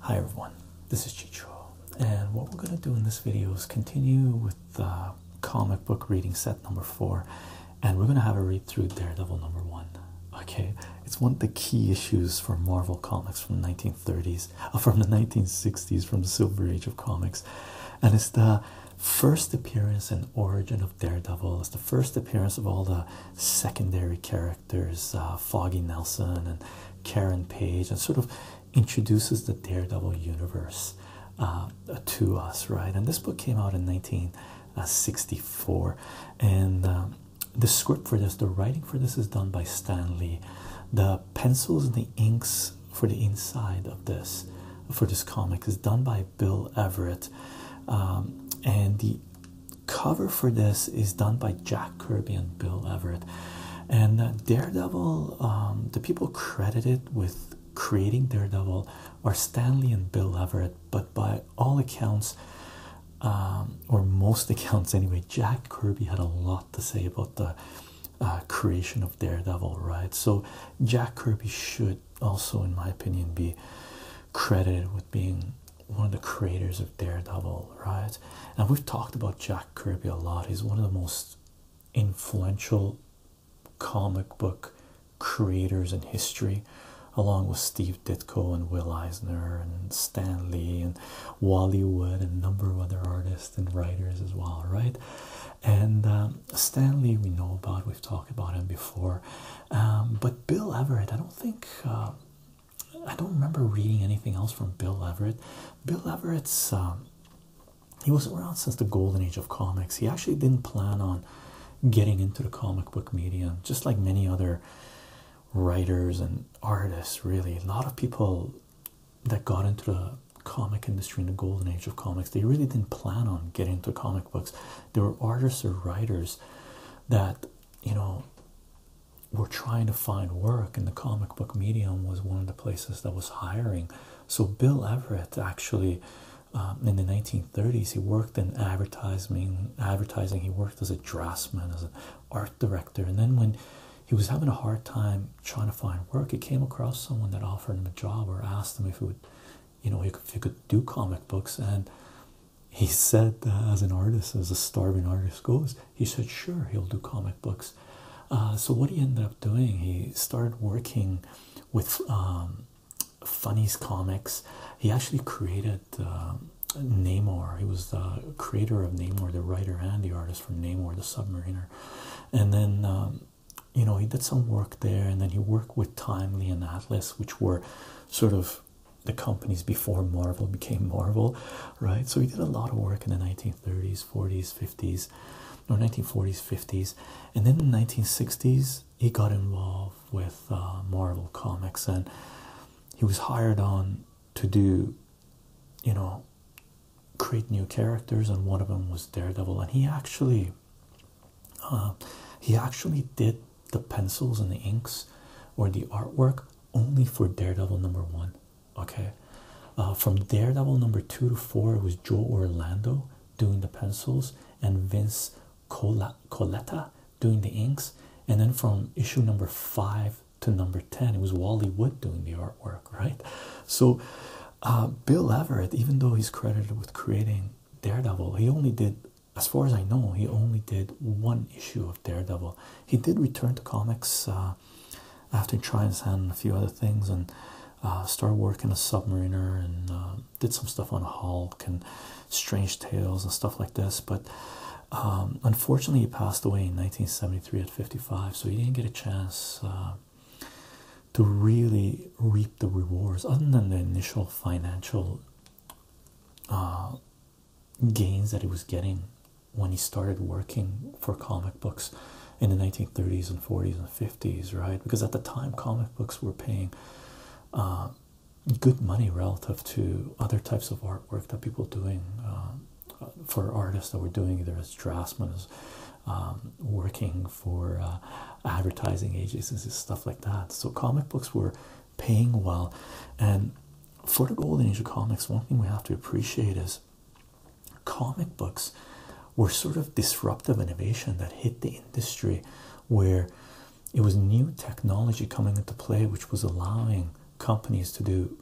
Hi everyone, this is Chicho, and what we're going to do in this video is continue with uh, comic book reading set number four, and we're going to have a read through Daredevil number one. Okay, it's one of the key issues for Marvel comics from the 1930s, uh, from the 1960s, from the Silver Age of comics, and it's the first appearance and origin of Daredevil. It's the first appearance of all the secondary characters. There's uh, Foggy Nelson and Karen Page, and sort of introduces the Daredevil universe uh, to us, right? And this book came out in 1964, and um, the script for this, the writing for this, is done by Stan Lee. The pencils and the inks for the inside of this, for this comic, is done by Bill Everett, um, and the cover for this is done by Jack Kirby and Bill Everett. And uh, Daredevil, um, the people credited with creating Daredevil are Stanley and Bill Everett, but by all accounts, um, or most accounts anyway, Jack Kirby had a lot to say about the uh, creation of Daredevil, right? So, Jack Kirby should also, in my opinion, be credited with being one of the creators of Daredevil, right? And we've talked about Jack Kirby a lot. He's one of the most influential comic book creators in history, along with Steve Ditko and Will Eisner and Stan Lee and Wally Wood and a number of other artists and writers as well, right? And um, Stan Lee, we know about. We've talked about him before, um, but Bill Everett, I don't think. Uh, I don't remember reading anything else from Bill Everett. Bill Everett's um, he was around since the golden age of comics. He actually didn't plan on getting into the comic book medium, just like many other writers and artists. Really, a lot of people that got into the comic industry in the golden age of comics they really didn't plan on getting into comic books. There were artists or writers that you know were trying to find work, and the comic book medium was one of the places that was hiring. So Bill Everett actually, um, in the 1930s, he worked in advertising. Advertising. He worked as a draftsman, as an art director, and then when he was having a hard time trying to find work, he came across someone that offered him a job or asked him if he would, you know, if he could do comic books, and he said as an artist as a starving artist goes he said sure he'll do comic books uh, so what he ended up doing he started working with um, funnies comics he actually created um, namor he was the creator of namor the writer and the artist for namor the submariner and then um, you know he did some work there and then he worked with timely and atlas which were sort of the companies before Marvel became Marvel, right? So he did a lot of work in the 1930s, 40s, 50s, or 1940s, 50s, and then in the 1960s he got involved with uh, Marvel comics, and he was hired on to do, you know, create new characters, and one of them was Daredevil, and he actually, uh, he actually did the pencils and the inks, or the artwork only for Daredevil number one. Okay, uh, from Daredevil number two to four, it was Joe Orlando doing the pencils and Vince Coletta doing the inks, and then from issue number five to number 10, it was Wally Wood doing the artwork, right? So, uh, Bill Everett, even though he's credited with creating Daredevil, he only did, as far as I know, he only did one issue of Daredevil, he did return to comics uh, after trying his hand and a few other things and uh, started working a submariner and uh, did some stuff on Hulk and Strange Tales and stuff like this. But um, unfortunately, he passed away in 1973 at 55, so he didn't get a chance uh, to really reap the rewards other than the initial financial gains that he was getting when he started working for comic books in the 1930s and 40s and 50s, right? Because at the time, comic books were paying uh, good money relative to other types of artwork that people doing uh, for artists that were doing either as draftsmen, as um, working for uh, advertising agencies, stuff like that. So comic books were paying well. And for the golden age of comics, one thing we have to appreciate is comic books were sort of disruptive innovation that hit the industry where it was new technology coming into play which was allowing companies to do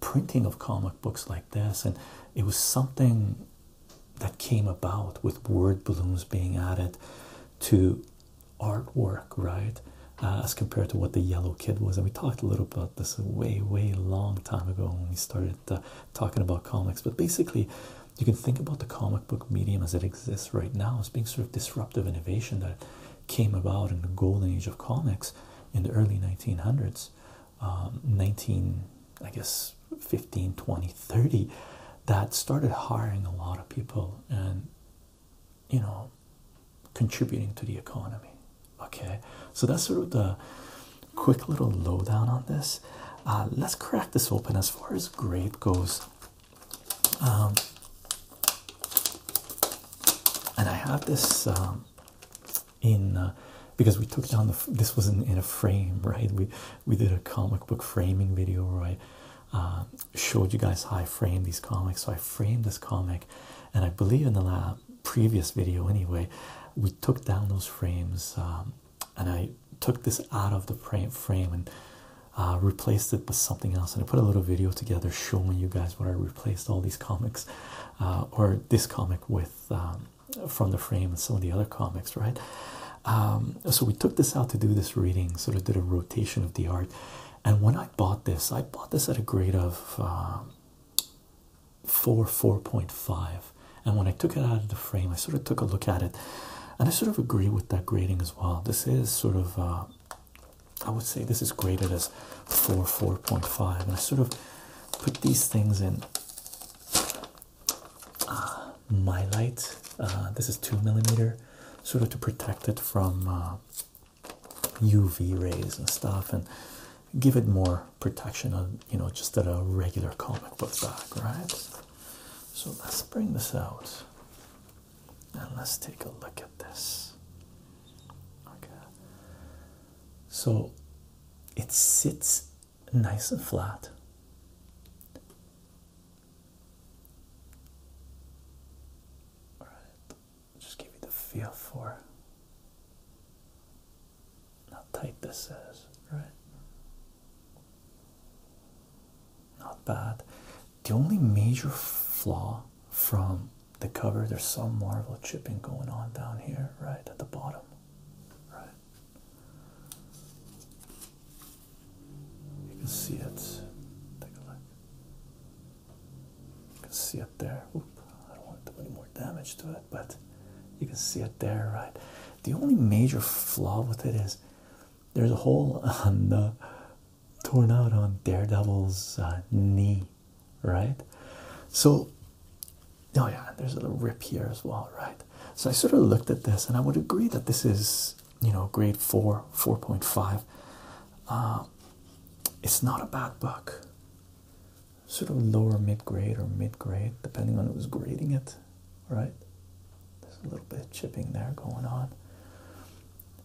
printing of comic books like this and it was something that came about with word balloons being added to artwork, right? Uh, as compared to what the yellow kid was, and we talked a little about this a way, way long time ago when we started uh, talking about comics. But basically, you can think about the comic book medium as it exists right now as being sort of disruptive innovation that came about in the golden age of comics in the early 1900s, um, 19, I guess, 15, 20, 30, that started hiring a lot of people and you know contributing to the economy. Okay, so that's sort of the quick little lowdown on this. Uh, let's crack this open as far as grade goes. Um, and I have this um, in uh, because we took down the this was in, a frame, right? We we did a comic book framing video where I uh, showed you guys how I framed these comics. So I framed this comic and i believe in the lab, previous video anyway we took down those frames um, and i took this out of the frame and uh, replaced it with something else and i put a little video together showing you guys what i replaced all these comics uh, or this comic with um, from the frame and some of the other comics right um, so we took this out to do this reading sort of did a rotation of the art and when I bought this, I bought this at a grade of um, 4, 4.5. And when I took it out of the frame, I sort of took a look at it. And I sort of agree with that grading as well. This is sort of, uh, I would say this is graded as 4, 4.5. And I sort of put these things in uh, my light. Uh, this is 2 millimeter, sort of to protect it from. UV rays and stuff and give it more protection on you know just at a regular comic book bag, right? So let's bring this out and let's take a look at this. Okay. So it sits nice and flat. All right just give you the feel for how tight this is, right? Not bad. The only major flaw from the cover, there's some marble chipping going on down here, right at the bottom, right? You can see it. Take a look. You can see it there. I don't want to do any more damage to it, but you can see it there, right? The only major flaw with it is there's a hole on the torn out on Daredevil's uh, knee, right? So, oh yeah, there's a little rip here as well, right? So I sort of looked at this, and I would agree that this is you know grade four, four point five. Um, it's not a bad book. Sort of lower mid grade or mid grade, depending on who's grading it, right? There's a little bit of chipping there going on.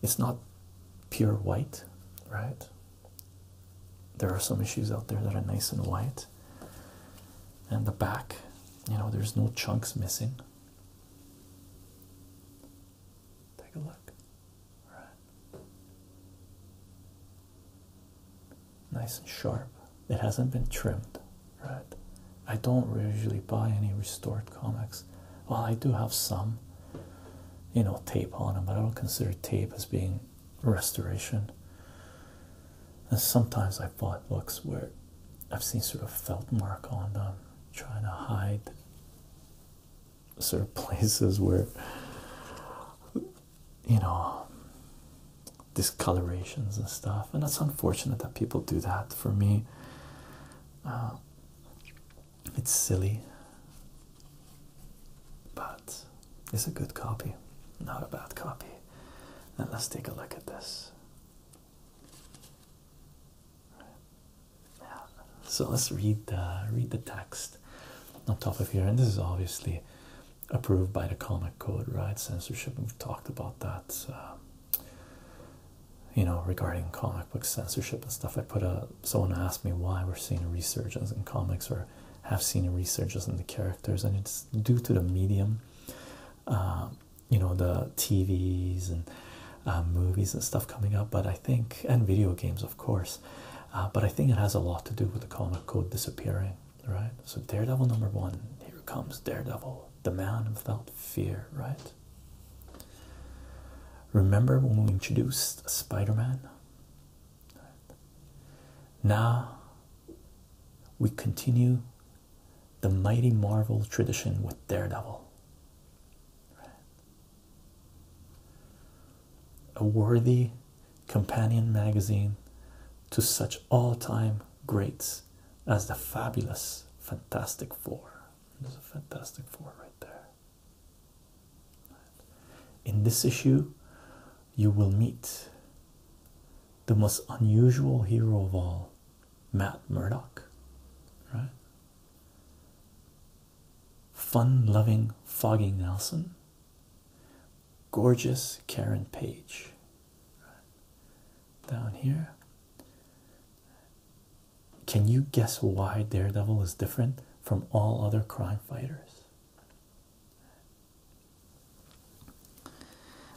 It's not pure white, right? There are some issues out there that are nice and white. And the back, you know, there's no chunks missing. Take a look. Right. Nice and sharp. It hasn't been trimmed, right? I don't usually buy any restored comics. Well, I do have some, you know, tape on them, but I don't consider tape as being restoration. And sometimes I bought books where I've seen sort of felt mark on them, trying to hide sort of places where you know discolorations and stuff, and that's unfortunate that people do that. For me, uh, it's silly, but it's a good copy, not a bad copy. And let's take a look at this. So let's read the read the text on top of here, and this is obviously approved by the comic code, right? Censorship. We've talked about that, uh, you know, regarding comic book censorship and stuff. I put a someone asked me why we're seeing resurgence in comics or have seen a resurgence in the characters, and it's due to the medium, uh, you know, the TVs and uh, movies and stuff coming up. But I think and video games, of course. Uh, but I think it has a lot to do with the comic code disappearing, right? So, Daredevil number one, here comes Daredevil, the man without fear, right? Remember when we introduced Spider Man? Now we continue the mighty Marvel tradition with Daredevil. A worthy companion magazine to such all time greats as the fabulous Fantastic Four. There's a Fantastic Four right there. In this issue, you will meet the most unusual hero of all, Matt Murdock. Right? fun loving Foggy Nelson, gorgeous Karen Page. Down here, can you guess why Daredevil is different from all other crime fighters?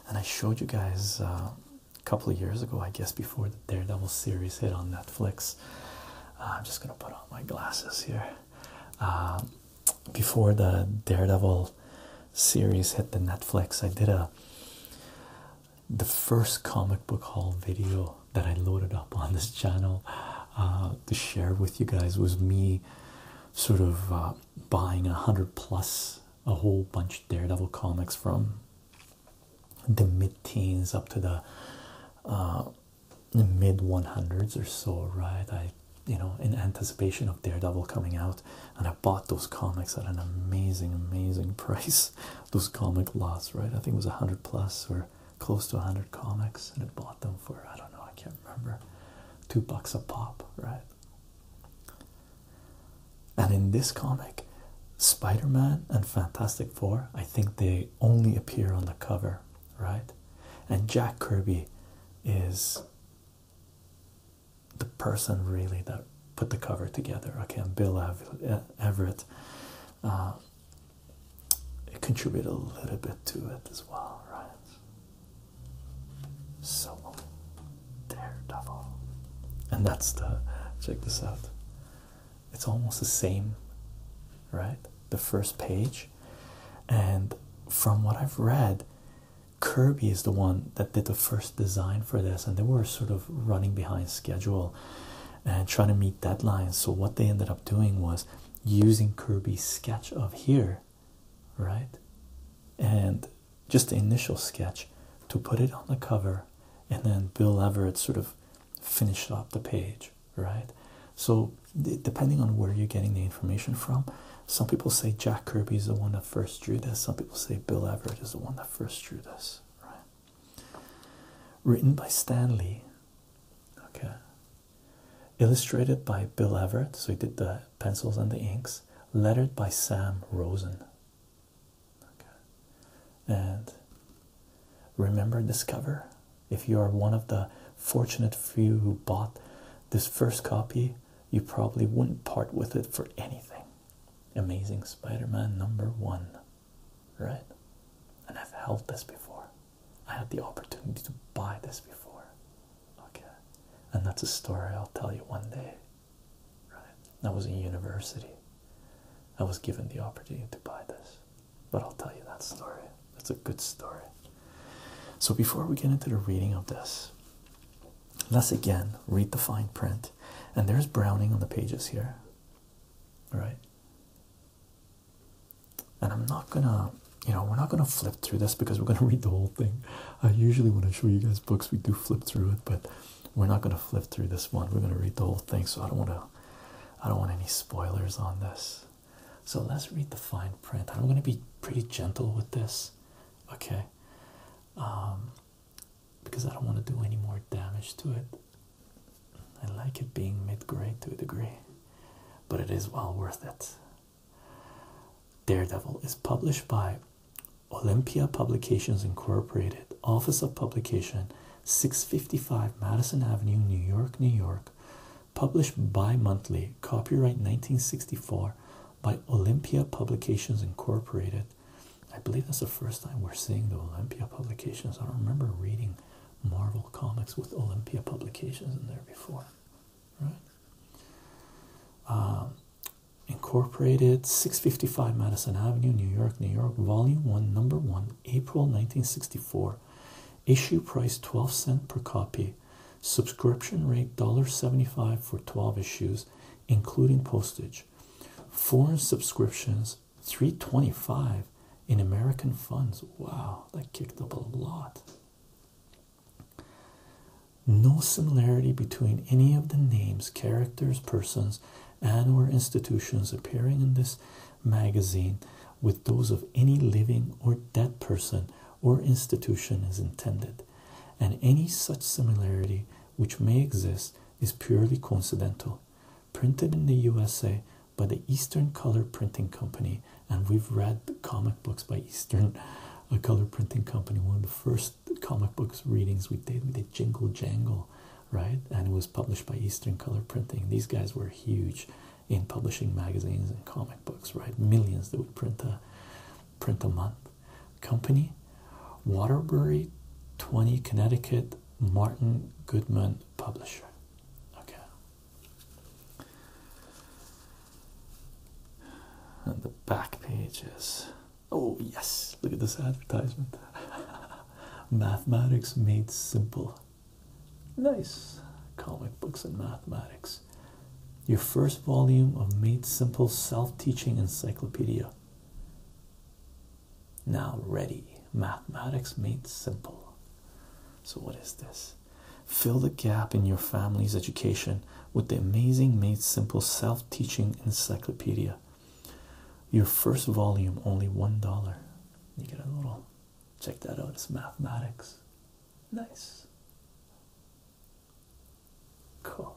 And I showed you guys uh, a couple of years ago, I guess, before the Daredevil series hit on Netflix. Uh, I'm just gonna put on my glasses here. Um, before the Daredevil series hit the Netflix, I did a the first comic book haul video that I loaded up on this channel uh, to share with you guys was me sort of uh, buying a hundred plus a whole bunch of Daredevil comics from the mid teens up to the the mid 100s or so, right? I, you know, in anticipation of Daredevil coming out, and I bought those comics at an amazing, amazing price. Those comic lots, right? I think it was 100 plus or close to 100 comics, and I bought them for I don't know, I can't remember, two bucks a pop, right? And in this comic, Spider Man and Fantastic Four, I think they only appear on the cover, right? And Jack Kirby is the person really that put the cover together. Okay, and Bill uh, Everett uh, contributed a little bit to it as well, right? So, Daredevil, and that's the check this out it's almost the same, right? The first page. And from what I've read, Kirby is the one that did the first design for this, and they were sort of running behind schedule and trying to meet deadlines. So, what they ended up doing was using Kirby's sketch of here, right? And just the initial sketch to put it on the cover, and then Bill Everett sort of finished up the page, right? So, depending on where you're getting the information from, some people say Jack Kirby is the one that first drew this, some people say Bill Everett is the one that first drew this, right? Written by Stanley, okay, illustrated by Bill Everett, so he did the pencils and the inks, lettered by Sam Rosen, okay, and Remember this cover? If you are one of the fortunate few who bought this first copy, you probably wouldn't part with it for anything. Amazing Spider Man number one, right? And I've held this before. I had the opportunity to buy this before. Okay. And that's a story I'll tell you one day. Right? I was in university. I was given the opportunity to buy this. But I'll tell you that story. It's a good story. So before we get into the reading of this, let's again read the fine print. And there's Browning on the pages here. All right. And I'm not gonna, you know, we're not gonna flip through this because we're gonna read the whole thing. I usually when I show you guys books, we do flip through it, but we're not gonna flip through this one. We're gonna read the whole thing, so I don't wanna I don't want any spoilers on this. So let's read the fine print. I'm going to be pretty gentle with this, okay? Um, because I don't want to do any more damage to it. I like it being mid grade to a degree, but it is well worth it. Daredevil is published by Olympia Publications Incorporated, Office of Publication, 655 Madison Avenue, New York, New York. Published bi monthly, copyright 1964 by Olympia Publications Incorporated. I believe that's the first time we're seeing the Olympia publications. I don't remember reading Marvel comics with Olympia publications in there before, right? Um, incorporated, 655 Madison Avenue, New York, New York, Volume 1, Number 1, April 1964. Issue price 12 cent per copy. Subscription rate $1.75 for 12 issues, including postage. Foreign subscriptions 325 in American funds. Wow, that kicked up a lot. No similarity between any of the names, characters, persons, and or institutions appearing in this magazine with those of any living or dead person or institution is intended, and any such similarity which may exist is purely coincidental. Printed in the USA by the Eastern Color Printing Company, and we've read the comic books by Eastern uh, Color Printing Company. One of the first comic books readings we did, we did Jingle Jangle, right? And it was published by Eastern Color Printing. These guys were huge in publishing magazines and comic books, right? Millions that would print a print a month. Company, Waterbury, 20 Connecticut, Martin Goodman Publisher. Okay. And the back pages. oh yes, look at this advertisement. Mathematics made simple. Nice comic books and mathematics. Your first volume of Made Simple Self Teaching Encyclopedia. Now ready. Mathematics Made Simple. So, what is this? Fill the gap in your family's education with the amazing Made Simple Self Teaching Encyclopedia. Your first volume, only $1. You get a little Check that out, it's mathematics. Nice. Cool.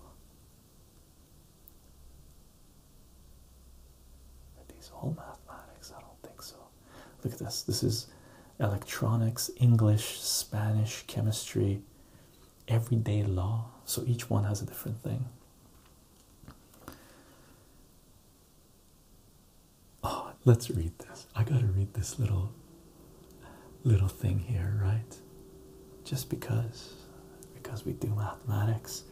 Are all mathematics? I don't think so. Look at this. This is electronics, English, Spanish, chemistry, everyday law. So each one has a different thing. Oh, let's read this. I gotta read this little little thing here, right? Just because because we do mathematics.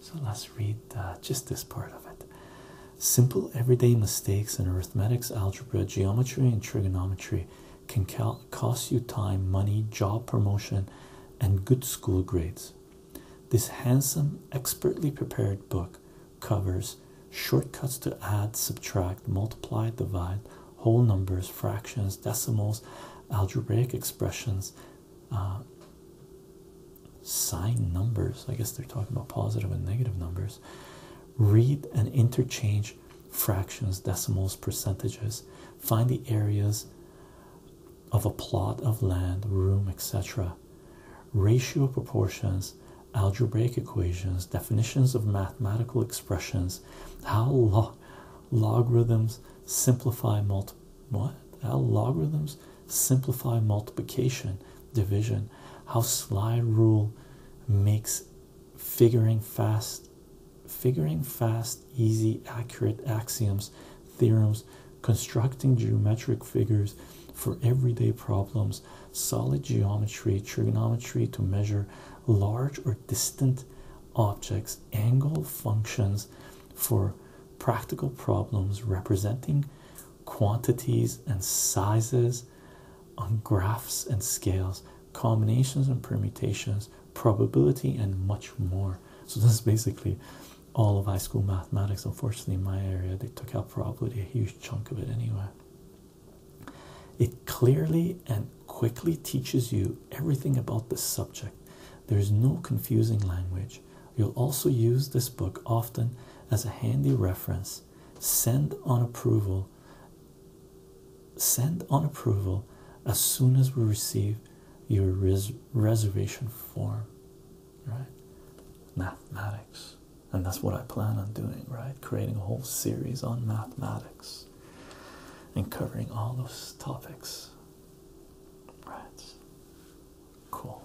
So let's read uh, just this part of it. Simple everyday mistakes in arithmetic, algebra, geometry, and trigonometry can cost you time, money, job promotion, and good school grades. This handsome, expertly prepared book covers shortcuts to add, subtract, multiply, divide, whole numbers, fractions, decimals, algebraic expressions, uh, sign numbers. I guess they're talking about positive and negative numbers. Read and interchange fractions, decimals, percentages. Find the areas of a plot of land, room, etc ratio proportions, algebraic equations, definitions of mathematical expressions, how log logarithms simplify multi what? How logarithms simplify multiplication, division, how slide rule makes figuring fast figuring fast, easy, accurate axioms, theorems constructing geometric figures for everyday problems, solid geometry, trigonometry to measure large or distant objects, angle functions for practical problems representing quantities and sizes on graphs and scales, combinations and permutations, probability, and much more. So, this is basically all of high school mathematics. Unfortunately, in my area, they took out probably a huge chunk of it anyway. It clearly and quickly teaches you everything about the subject. There is no confusing language. You'll also use this book often as a handy reference. Send on approval. Send on approval as soon as we receive your reservation form right? Mathematics, and that's what I plan on doing, right? Creating a whole series on mathematics and covering all those topics, right? Cool,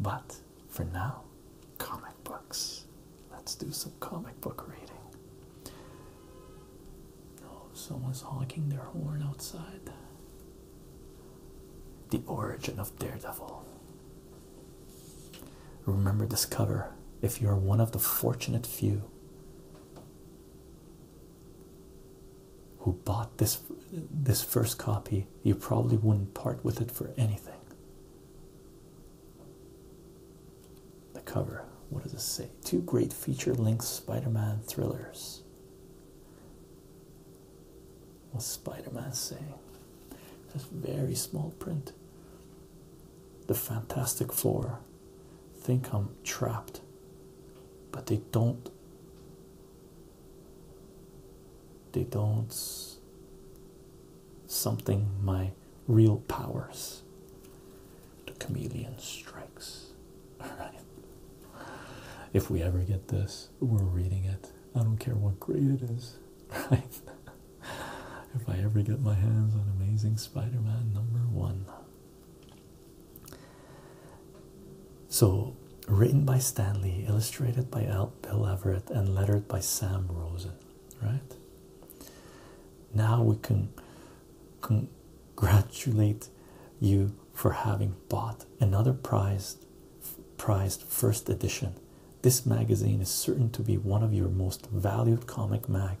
but for now, comic books. Let's do some comic book reading. Oh, someone's honking their horn outside. The Origin of Daredevil. Remember this cover if you're one of the fortunate few who bought this this first copy you probably wouldn't part with it for anything the cover what does it say two great feature length spider-man thrillers what Spider mans saying? Just very small print. The Fantastic Four think I'm trapped, but they don't. They don't. Something my real powers. The chameleon strikes. If we ever get this, we're reading it. I don't care what grade it is, right? if I ever get my hands on Amazing Spider Man number one. So, written by Stan Lee, illustrated by Bill Everett, and lettered by Sam Rosen, right? Now we can congratulate you for having bought another prized, prized first edition this magazine is certain to be one of your most valued comic mag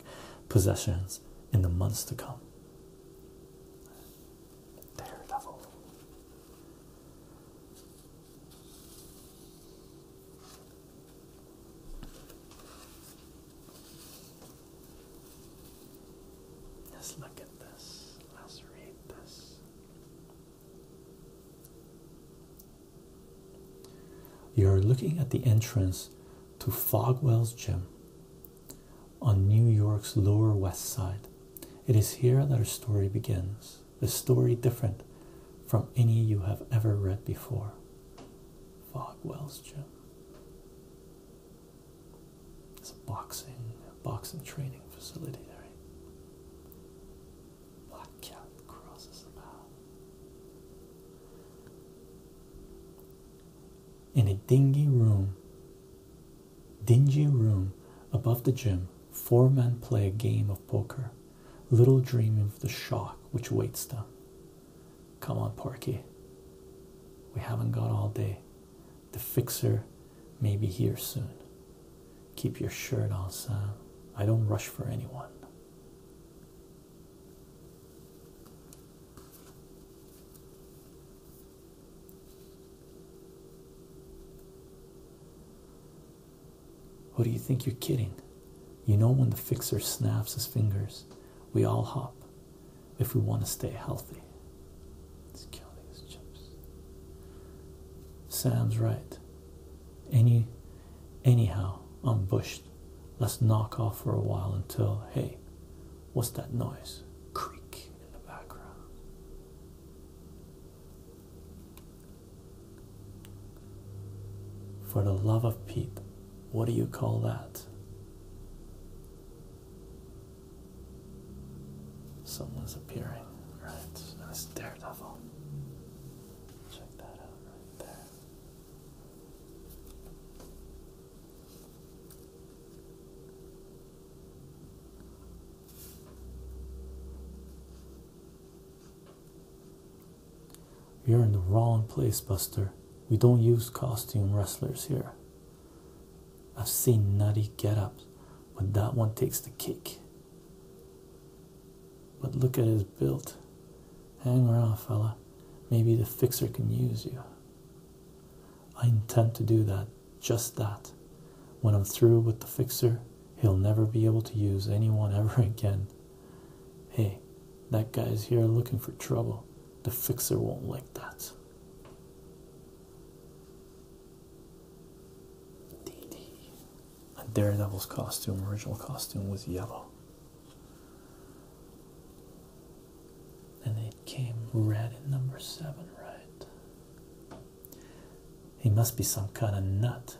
possessions in the months to come. Daredevil. Let's look at this. Let's read this. You're looking at the entrance to Fogwell's Gym on New York's Lower West Side. It is here that our story begins, a story different from any you have ever read before. Fogwell's Gym. It's a boxing, a boxing training facility there. Black cat crosses the In a dingy room, dingy room above the gym, four men play a game of poker, little dreaming of the shock which waits them. Come on, Porky. We haven't got all day. The fixer Maybe here soon. Keep your shirt on, Sam. I don't rush for anyone. Who do you think you're kidding? You know when the fixer snaps his fingers, we all hop if we want to stay healthy. Let's kill these right any anyhow i'm bushed let's knock off for a while until hey what's that noise creak in the background for the love of pete what do you call that someone's appearing right that's you're in the wrong place, Buster. We don't use costume wrestlers here. I've seen nutty get ups, but that one takes the cake. But look at his built. Hang around, fella. Maybe the fixer can use you. I intend to do that, just that. When I'm through with the fixer, he'll never be able to use anyone ever again. Hey, that guy's here looking for trouble. The fixer won't like that. And Daredevil's costume, original costume, was yellow. And it came red in number seven, right? He must be some kind of nut.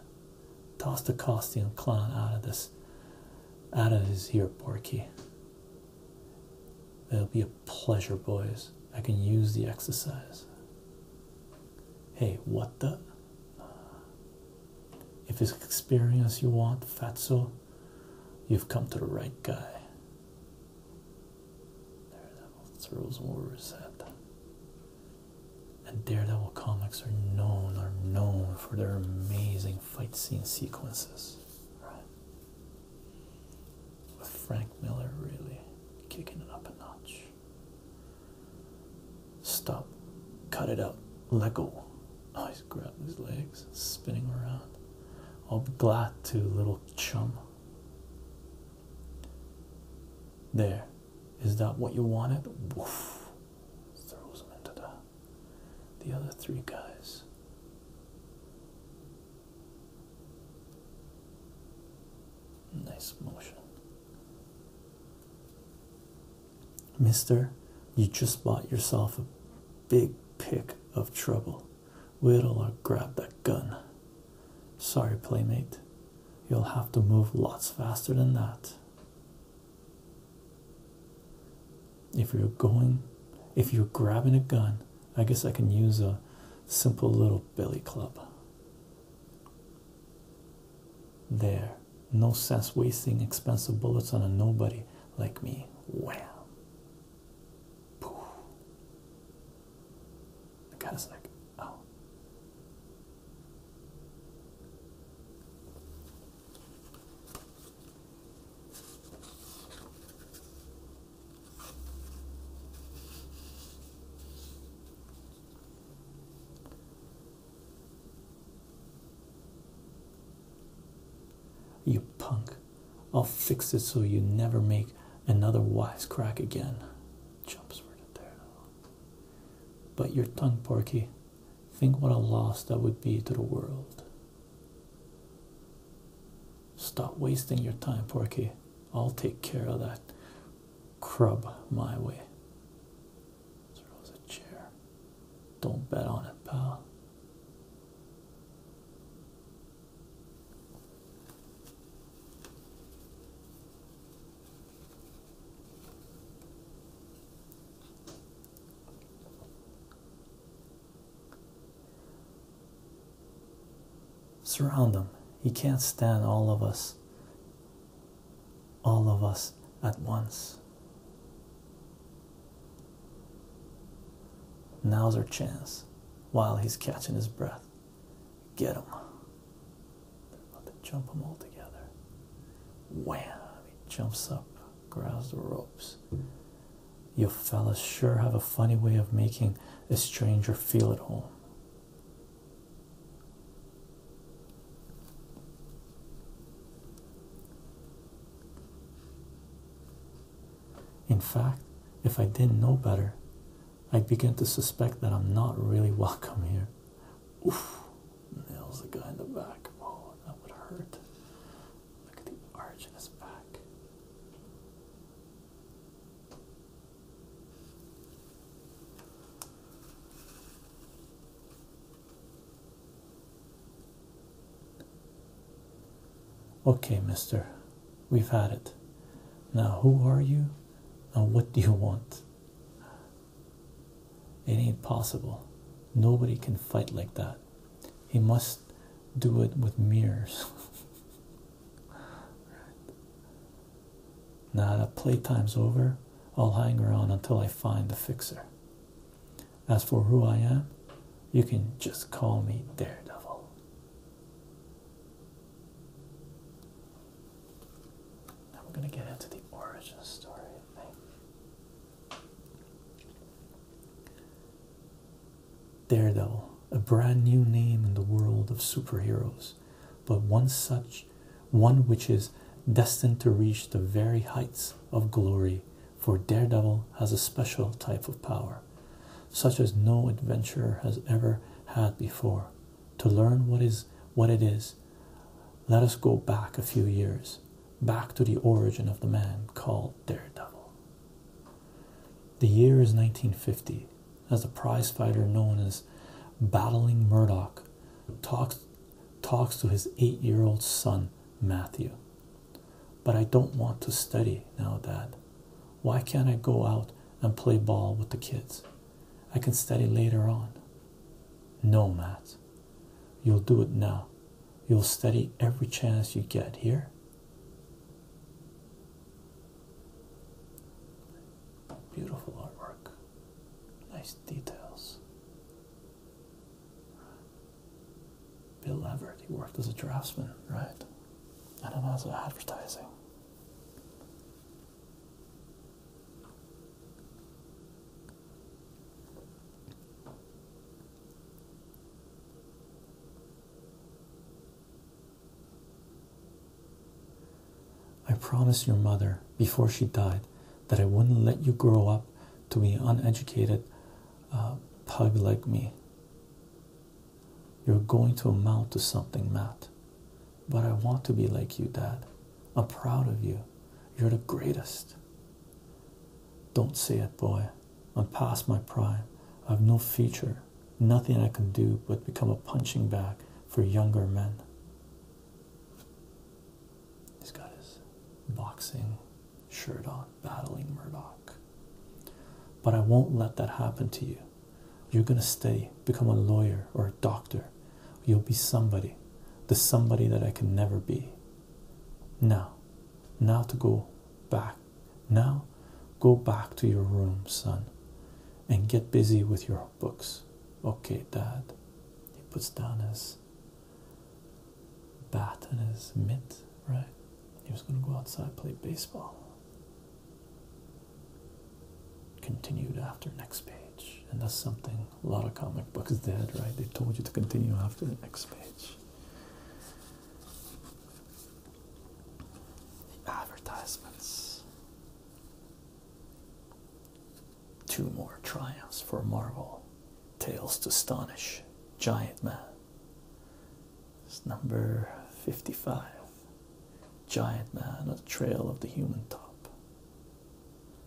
Toss the costume clown out of this, out of his here, Porky. It'll be a pleasure, boys. I can use the exercise. Hey, what the? If it's experience you want, Fatso, you've come to the right guy. Daredevil throws over his head. And Daredevil comics are known are known for their amazing fight scene sequences. With Frank Miller really kicking it up a notch. Stop. Cut it out. Let go. Oh, he's grabbing his legs, spinning around. I'll be glad to, little chum. There. Is that what you wanted? Woof. Throws him into the, the other three guys. Nice motion. Mister, you just bought yourself a big pick of trouble. We'll I grab that gun. Sorry, playmate. You'll have to move lots faster than that. If you're going, if you're grabbing a gun, I guess I can use a simple little billy club. There, no sense wasting expensive bullets on a nobody like me. Wow. Poof. The guy's like, oh. You punk. I'll fix it so you never make another wisecrack again. But your tongue, Porky. Think what a loss that would be to the world. Stop wasting your time, Porky. I'll take care of that crub my way. Throws a chair. Don't bet on it, pal. Surround him. He can't stand all of us all of us at once. Now's our chance while he's catching his breath. Get him. They're about to jump him all together. Wham! He jumps up, grabs the ropes. You fellas sure have a funny way of making a stranger feel at home. In fact, if I didn't know better, I'd begin to suspect that I'm not really welcome here. Oof, nails the guy in the back. Oh, that would hurt. Look at the arch in his back. Okay, mister, we've had it. Now, who are you and what do you want? It ain't possible. Nobody can fight like that. He must do it with mirrors. right. Now that playtime's over, I'll hang around until I find the fixer. As for who I am, you can just call me Daredevil. Now we're going to get into the origin story, I Daredevil, a brand new name in the world of superheroes but one such one which is destined to reach the very heights of glory. For Daredevil has a special type of power, such as no adventurer has ever had before. To learn what is what it is, let us go back a few years, back to the origin of the man called Daredevil. The year is 1950, as a prizefighter known as Battling Murdock talks talks to his eight-year-old son Matthew. But I don't want to study now, Dad. Why can't I go out and play ball with the kids? I can study later on. No, Matt. You'll do it now. You'll study every chance you get here. Beautiful artwork. Nice details. Bill Everett, he worked as a draftsman, right? And then as advertising. I promised your mother before she died that I wouldn't let you grow up to be an uneducated uh, pug like me. You're going to amount to something, Matt. But I want to be like you, Dad. I'm proud of you. You're the greatest. Don't say it, boy. I'm past my prime. I have no future, nothing I can do but become a punching bag for younger men. He's got his boxing shirt on, battling Murdoch. But I won't let that happen to you. You're going to stay, become a lawyer or a doctor. You'll be somebody, the somebody that I can never be. Now, now to go back. Now, go back to your room, son, and get busy with your books. Okay, Dad. He puts down his bat and his mitt, right? He was going to go outside play baseball. Continued after next page, and that's something a lot of comic books did, right? They told you to continue after the next page. advertisements. Two more triumphs for Marvel. Tales to Astonish. Giant Man. It's number 55. Giant Man on the Trail of the Human Top.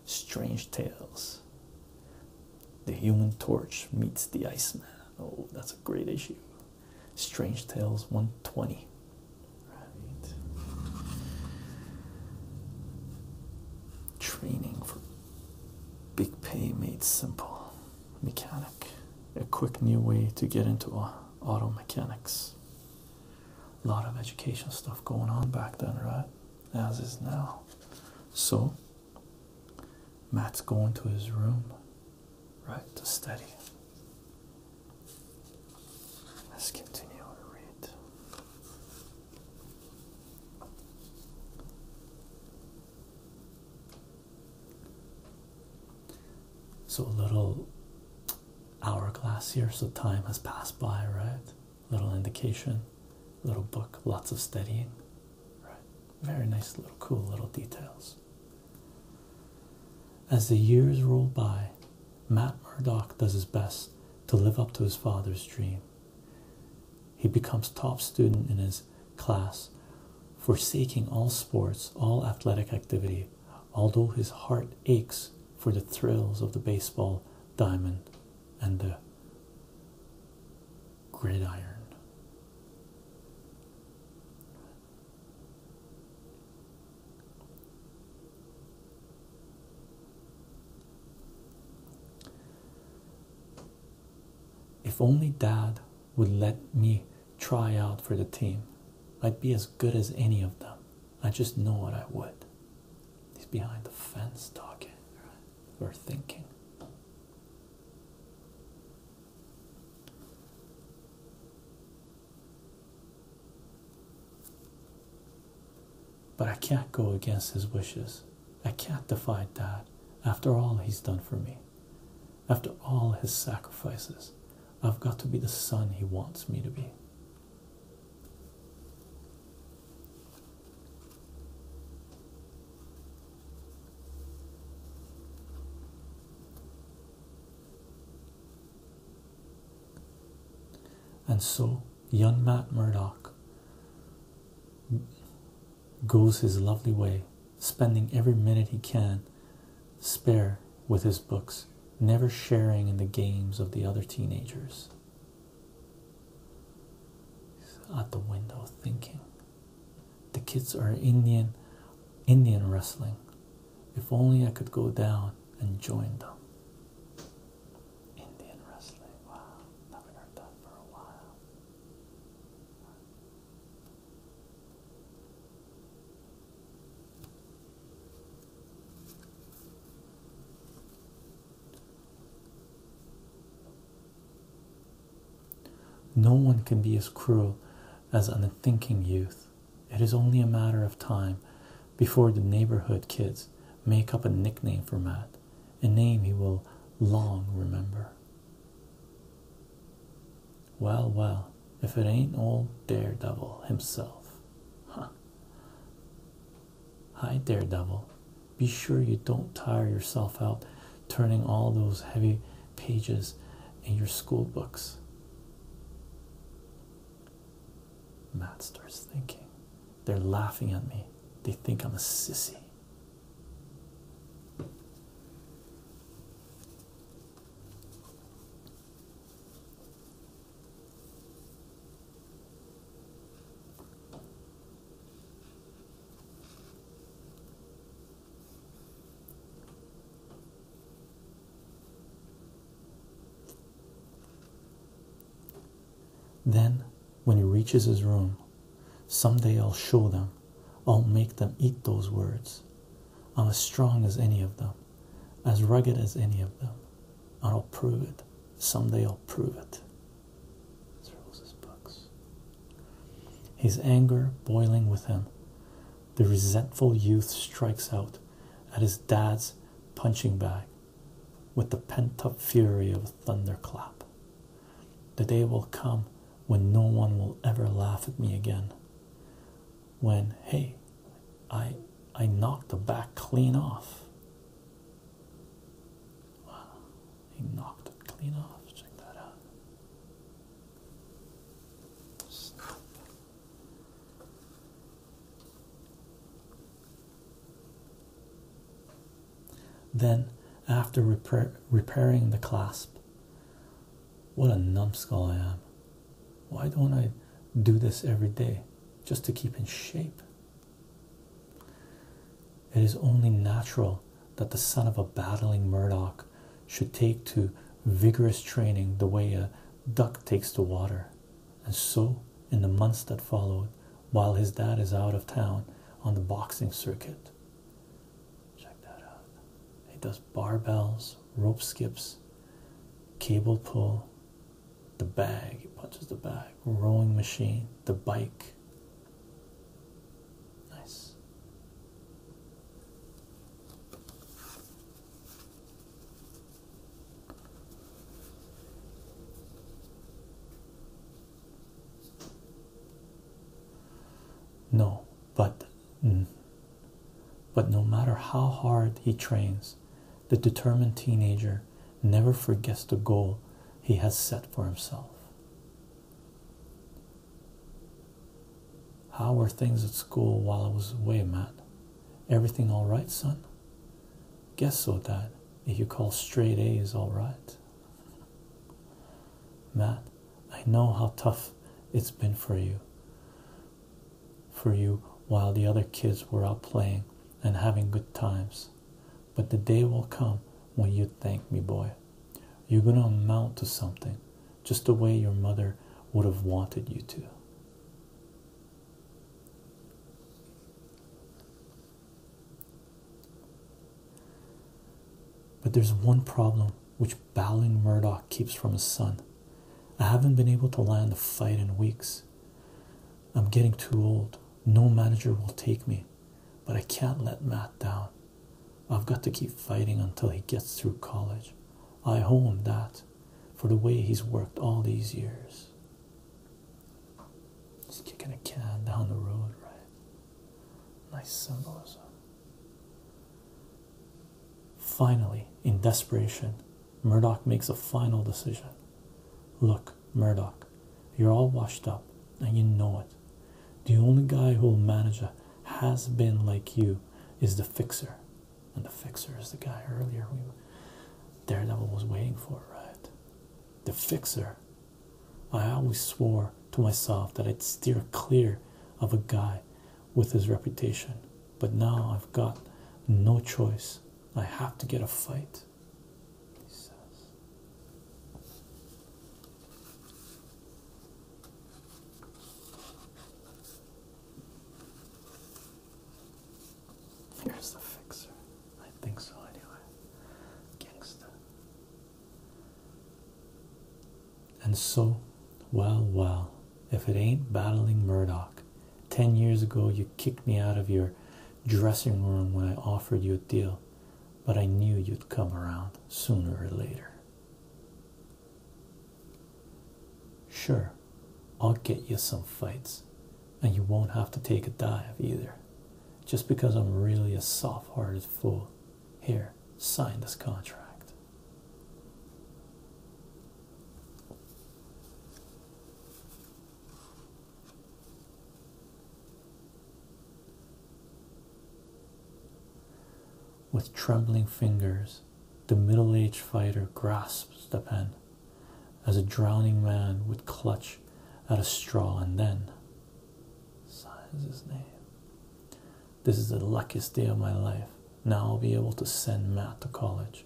Strange Tales. The Human Torch meets the Iceman. Oh, that's a great issue. Strange Tales 120. Right. Training for big pay made simple. Mechanic. A quick new way to get into uh, auto mechanics. A lot of education stuff going on back then, right? As is now. So, Matt's going to his room, right, to study. Let's continue to read. So, a little hourglass here, so time has passed by, right? Little indication, little book, lots of studying, right? Very nice, little cool little details. As the years roll by, Matt Murdock does his best to live up to his father's dream. He becomes top student in his class, forsaking all sports, all athletic activity, although his heart aches for the thrills of the baseball diamond and the gridiron. If only dad would let me try out for the team, I'd be as good as any of them. I just know it, I would. He's behind the fence talking, or thinking. But I can't go against his wishes. I can't defy Dad after all he's done for me, after all his sacrifices. I've got to be the son he wants me to be. And so young Matt Murdock goes his lovely way, spending every minute he can spare with his books, never sharing in the games of the other teenagers. He's at the window thinking. The kids are Indian Indian wrestling. If only I could go down and join them. Indian wrestling. Wow, haven't heard that for a while. No one can be as cruel as unthinking youth. It is only a matter of time before the neighborhood kids make up a nickname for Matt, a name he will long remember. Well, well, if it ain't old Daredevil himself. Huh. Hi, Daredevil. Be sure you don't tire yourself out turning all those heavy pages in your school books. Matt starts thinking. They're laughing at me. They think I'm a sissy. Then, when he reaches his room, someday I'll show them, I'll make them eat those words. I'm as strong as any of them, as rugged as any of them, I'll prove it. Someday I'll prove it. His anger boiling within, him, the resentful youth strikes out at his dad's punching bag with the pent up fury of a thunderclap. The day will come when no one will ever laugh at me again. When, hey, I I knocked the back clean off. he knocked it clean off. Check that out. Then, after repairing the clasp, what a numbskull I am. Why don't I do this every day just to keep in shape? It is only natural that the son of a battling Murdoch should take to vigorous training the way a duck takes to water. And so, in the months that followed, while his dad is out of town on the boxing circuit, check that out. He does barbells, rope skips, cable pull, the bag, he punches the bag, rowing machine, the bike. Nice. No, but mm. but no matter how hard he trains, the determined teenager never forgets the goal he has set for himself. How were things at school while I was away, Matt? Everything all right, son? Guess so, Dad. If you call straight A's all right. Matt, I know how tough it's been for you. For you while the other kids were out playing and having good times. But the day will come when you thank me, boy. You're gonna amount to something, just the way your mother would have wanted you to. But there's one problem which Bowling Murdoch keeps from his son. I haven't been able to land a fight in weeks. I'm getting too old. No manager will take me, but I can't let Matt down. I've got to keep fighting until he gets through college. I owe him that for the way he's worked all these years. He's kicking a can down the road, right? Nice symbolism. Finally, in desperation, Murdoch makes a final decision. Look, Murdoch, you're all washed up, and you know it. The only guy who'll manage a has been like you is the fixer. And the fixer is the guy earlier we Daredevil was waiting for, right? The fixer. I always swore to myself that I'd steer clear of a guy with his reputation, but now I've got no choice. I have to get a fight. Here's the fixer. I think so, anyway. Gangster. And so, well, well, if it ain't battling Murdoch. Ten years ago, you kicked me out of your dressing room when I offered you a deal, but I knew you'd come around sooner or later. Sure, I'll get you some fights, and you won't have to take a dive either. Just because I'm really a soft hearted fool. Here, sign this contract. With trembling fingers, the middle aged fighter grasps the pen as a drowning man would clutch at a straw and then signs his name. This is the luckiest day of my life. Now I'll be able to send Matt to college.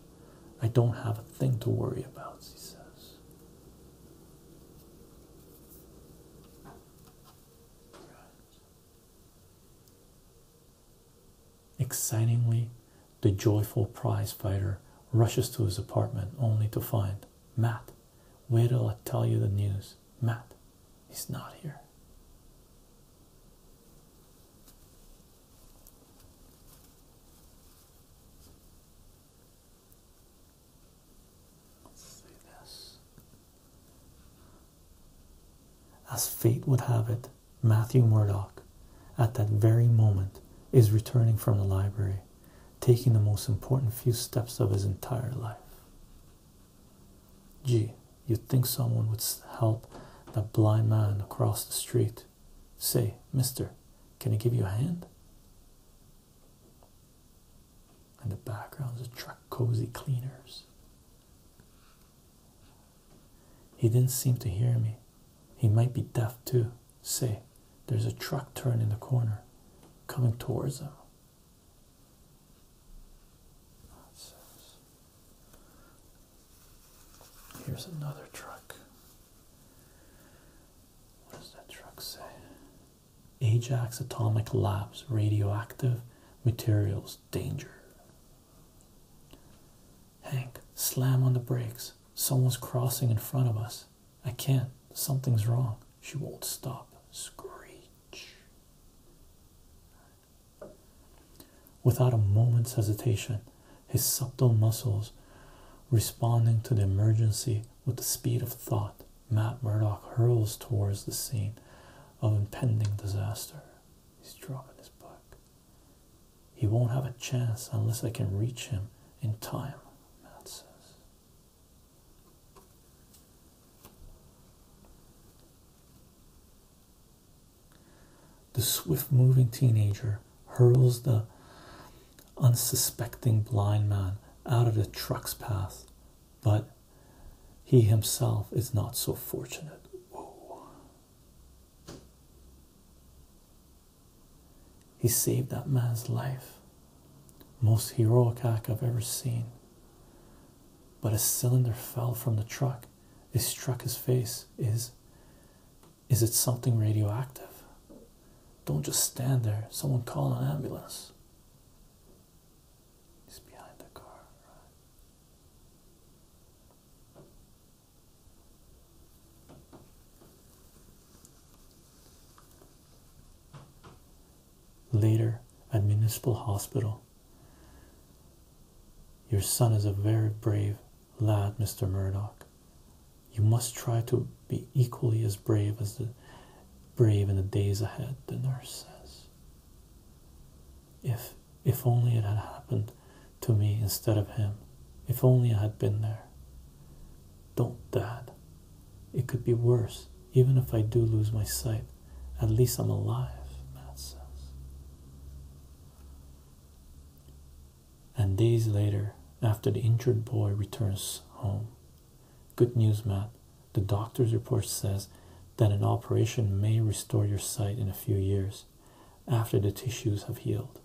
I don't have a thing to worry about, he says. Excitingly, the joyful prizefighter rushes to his apartment only to find Matt. Wait till I tell you the news. Matt, he's not here. Let's see this. As fate would have it, Matthew Murdock, at that very moment, is returning from the library, taking the most important few steps of his entire life. Gee, you'd think someone would help that blind man across the street. Say, mister, can I give you a hand? And the background is truck cozy cleaners. He didn't seem to hear me, he might be deaf too. Say, there's a truck turning the corner, coming towards him. Here's another truck. What does that truck say? Ajax Atomic Labs radioactive materials danger. Hank, slam on the brakes. Someone's crossing in front of us. I can't. Something's wrong. She won't stop. Screech. Without a moment's hesitation, his subtle muscles responding to the emergency with the speed of thought, Matt Murdock hurls towards the scene of impending disaster. He's dropping his book. He won't have a chance unless I can reach him in time, Matt says. The swift moving teenager hurls the unsuspecting blind man out of the truck's path, but he himself is not so fortunate. He saved that man's life. Most heroic act I've ever seen. But a cylinder fell from the truck. It struck his face. Is is it something radioactive? Don't just stand there. Someone call an ambulance. He's behind the car. Right? Later at Municipal Hospital. Your son is a very brave lad, Mr. Murdoch. You must try to be equally as brave as the brave in the days ahead, the nurse says. If if only it had happened to me instead of him. If only I had been there. Don't, Dad. It could be worse. Even if I do lose my sight, at least I'm alive, Matt says. And days later, after the injured boy returns home, good news, Matt. The doctor's report says that an operation may restore your sight in a few years after the tissues have healed.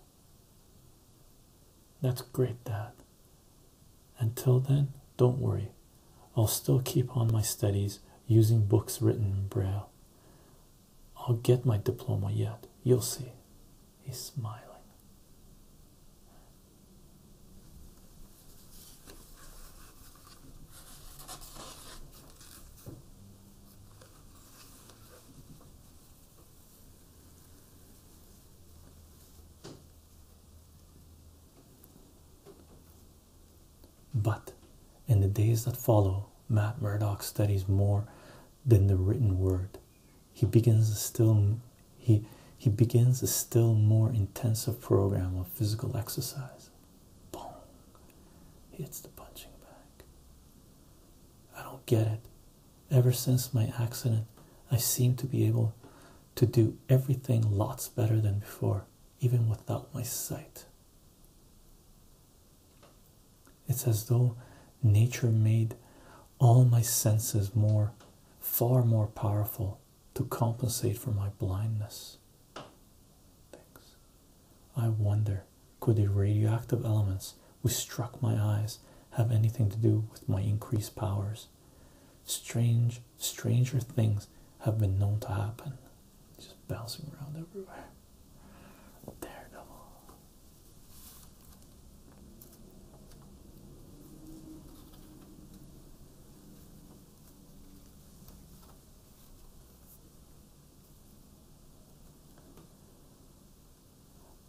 That's great, Dad. Until then, don't worry. I'll still keep on my studies using books written in Braille. I'll get my diploma yet. You'll see. He's smiling. But in the days that follow, Matt Murdock studies more than the written word. He begins a still he he begins a still more intensive program of physical exercise. Boom. Hits the punching bag. I don't get it. Ever since my accident, I seem to be able to do everything lots better than before, even without my sight. It's as though nature made all my senses more, far more powerful to compensate for my blindness. Thanks. I wonder could the radioactive elements which struck my eyes have anything to do with my increased powers? Strange, stranger things have been known to happen. Just bouncing around everywhere. Daredevil.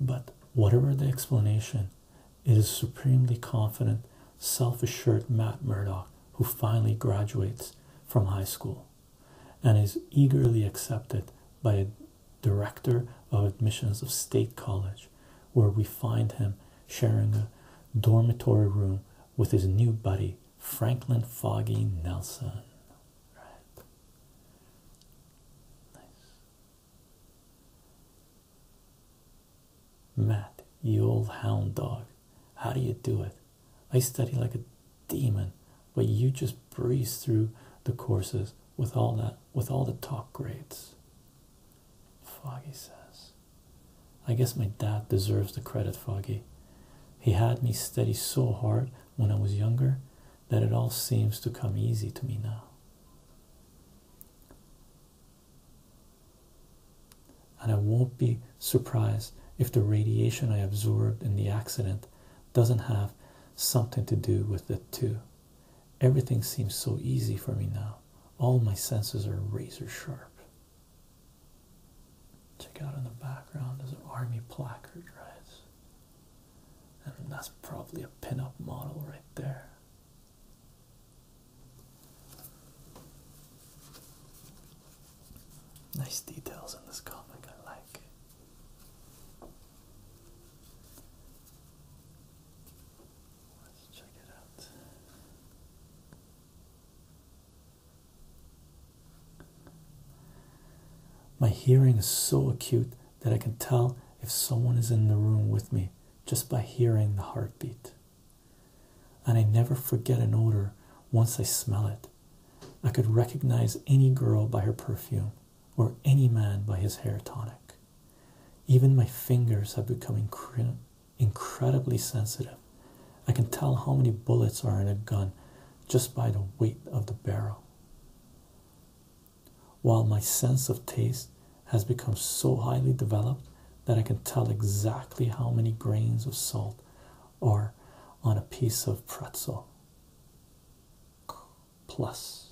But whatever the explanation, it is supremely confident, self assured Matt Murdock who finally graduates from high school and is eagerly accepted by a director of admissions of State College, where we find him sharing a dormitory room with his new buddy, Franklin Foggy Nelson. Right. Nice. Matt, you old hound dog, how do you do it? I study like a demon, but you just breeze through the courses with all that with all the top grades. Foggy says, I guess my dad deserves the credit, Foggy. He had me study so hard when I was younger that it all seems to come easy to me now. And I won't be surprised if the radiation I absorbed in the accident doesn't have something to do with it, too. Everything seems so easy for me now. All my senses are razor sharp. Check out in the background there's an army placard, right? and that's probably a pinup model right there. Nice details in this comic, I like. Let's check it out. My hearing is so acute that I can tell if someone is in the room with me just by hearing the heartbeat. And I never forget an odor once I smell it. I could recognize any girl by her perfume or any man by his hair tonic. Even my fingers have become incredibly sensitive. I can tell how many bullets are in a gun just by the weight of the barrel while my sense of taste has become so highly developed that I can tell exactly how many grains of salt are on a piece of pretzel. Plus.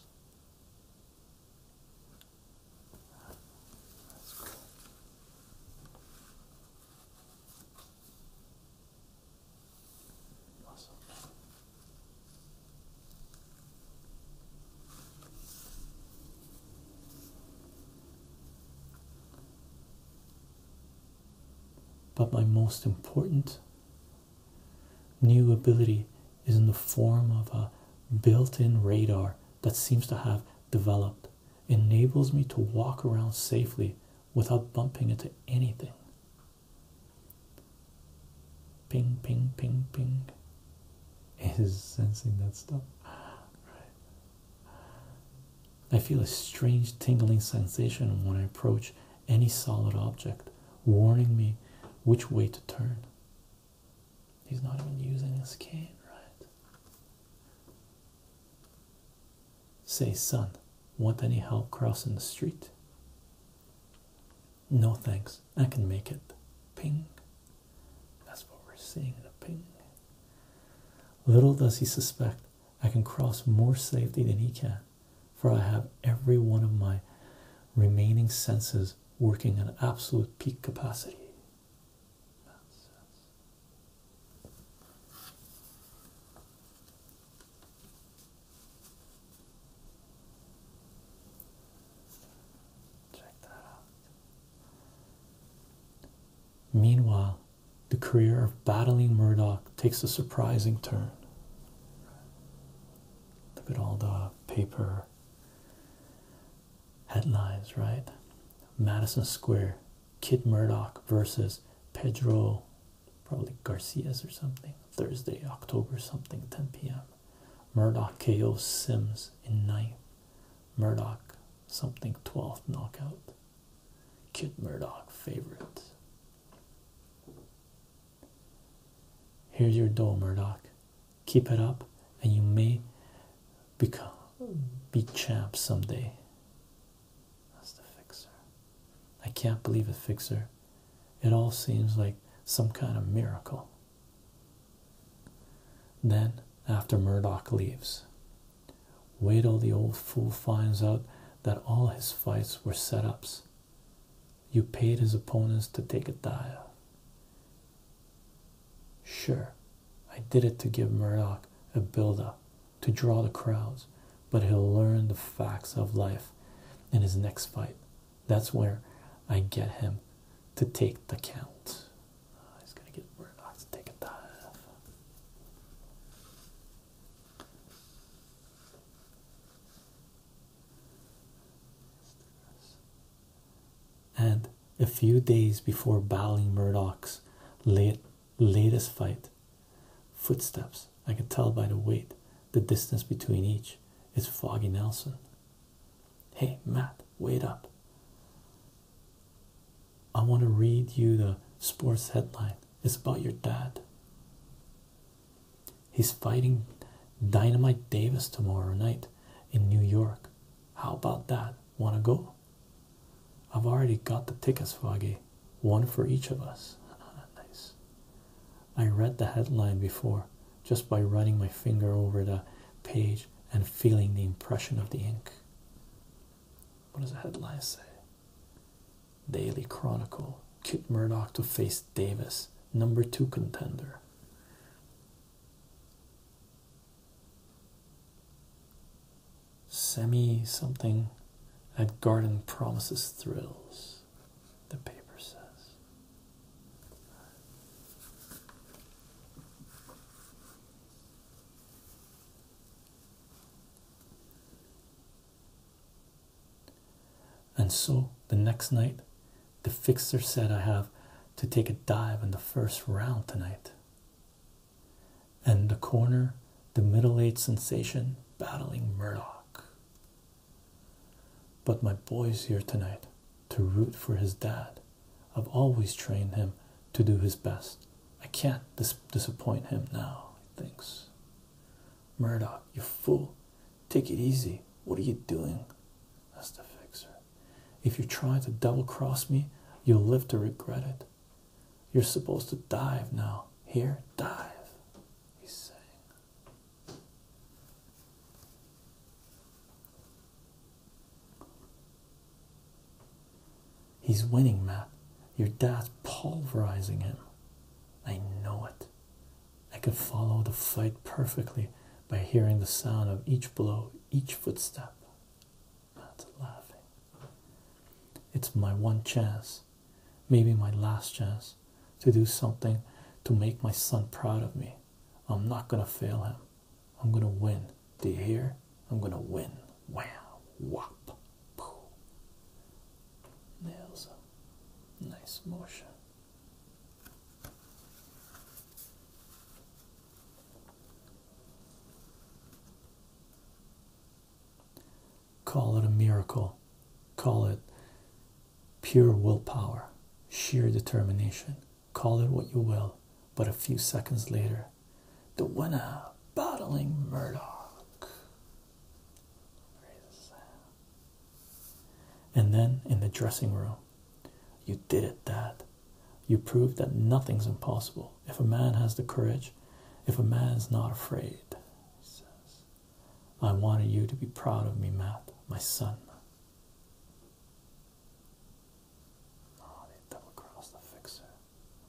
But my most important new ability is in the form of a built in radar that seems to have developed. enables me to walk around safely without bumping into anything. Ping, ping, ping, ping. Is sensing that stuff. Right. I feel a strange tingling sensation when I approach any solid object, warning me which way to turn. He's not even using his cane, right? Say, son, want any help crossing the street? No thanks, I can make it. Ping. That's what we're seeing in a ping. Little does he suspect I can cross more safely than he can, for I have every one of my remaining senses working at absolute peak capacity. Check that out. Meanwhile, the career of battling Murdoch takes a surprising turn. Look at all the paper headlines, right? Madison Square, Kid Murdoch versus Pedro, probably Garcias or something. Thursday, October something, 10 p.m. Murdoch KO Sims in ninth. Murdoch something 12th knockout. Kid Murdoch favorite. Here's your dough, Murdoch. Keep it up, and you may become be champ someday. That's the fixer. I can't believe it, fixer. It all seems like some kind of miracle. Then, after Murdoch leaves, wait till the old fool finds out that all his fights were set ups. You paid his opponents to take a dive. Sure, I did it to give Murdoch a build up, to draw the crowds, but he'll learn the facts of life in his next fight. That's where I get him to take the count. Ah, he's gonna get Murdoch to take a dive. And a few days before battling Murdoch's latest fight, footsteps I can tell by the weight, the distance between each. It's Foggy Nelson. Hey, Matt, wait up. I want to read you the sports headline. It's about your dad. He's fighting Dynamite Davis tomorrow night in New York. How about that? Want to go? I've already got the tickets, Foggy. One for each of us. nice. I read the headline before just by running my finger over the page and feeling the impression of the ink. What does the headline say? Daily Chronicle Kit Murdoch to face Davis, number two contender. Semi something at Garden promises thrills the paper says. And so the next night, the fixer said, I have to take a dive in the first round tonight. And the corner, the middle aged sensation battling Murdock. But my boy's here tonight to root for his dad. I've always trained him to do his best. I can't disappoint him now, he thinks. Murdoch, you fool. Take it easy. What are you doing? That's the fixer. If you try to double cross me, you'll live to regret it. You're supposed to dive now. Here, dive, he's saying. He's winning, Matt. Your dad's pulverizing him. I know it. I can follow the fight perfectly by hearing the sound of each blow, each footstep. Matt's laughing. It's my one chance, maybe my last chance to do something to make my son proud of me. I'm not gonna fail him. I'm gonna win. Do you hear? I'm gonna win. Wow, Wop. poo. Nails Nice motion. Call it a miracle. Call it Pure willpower, sheer determination. Call it what you will, but a few seconds later, the winner battling Murdoch. And then in the dressing room, you did it, Dad. You proved that nothing's impossible if a man has the courage, if a man's not afraid. I wanted you to be proud of me, Matt, my son. Oh, they double crossed the fixer.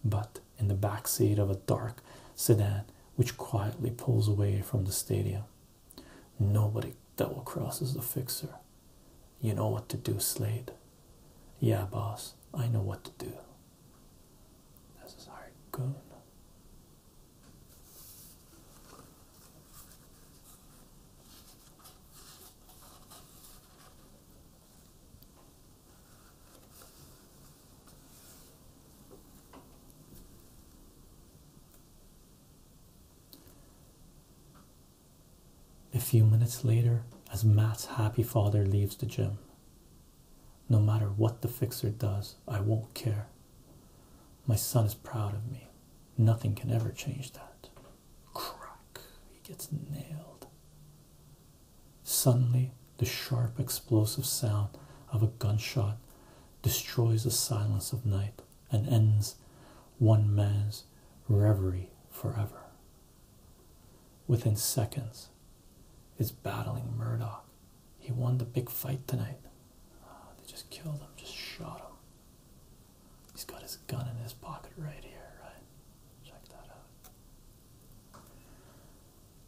But in the backseat of a dark sedan which quietly pulls away from the stadium, nobody double crosses the fixer. You know what to do, Slade. Yeah, boss, I know what to do. This is our goon. A few minutes later, as Matt's happy father leaves the gym, no matter what the fixer does, I won't care. My son is proud of me. Nothing can ever change that. Crack! He gets nailed. Suddenly, the sharp, explosive sound of a gunshot destroys the silence of night and ends one man's reverie forever. Within seconds, is battling Murdoch he won the big fight tonight. Ah, they just killed him, just shot him. He's got his gun in his pocket right here, right? Check that out.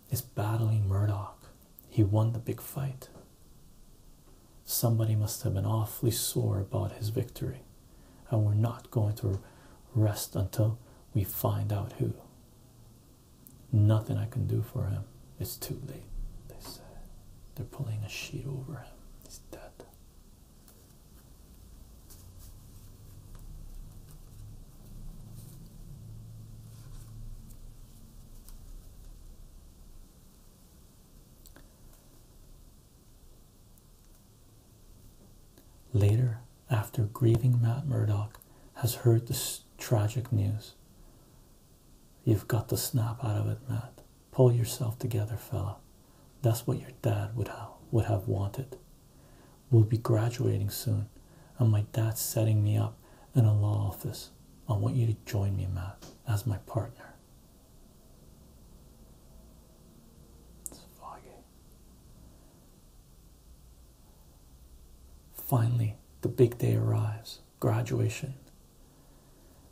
He's battling Murdoch. He won the big fight. Somebody must have been awfully sore about his victory, and we're not going to rest until we find out who. Nothing I can do for him. It's too late, they said. They're pulling a sheet over him. He's dead. Later, after grieving Matt Murdock has heard this tragic news, You've got to snap out of it, Matt. Pull yourself together, fella. That's what your dad would have would have wanted. We'll be graduating soon, and my dad's setting me up in a law office. I want you to join me, Matt, as my partner. It's foggy. Finally, the big day arrives graduation.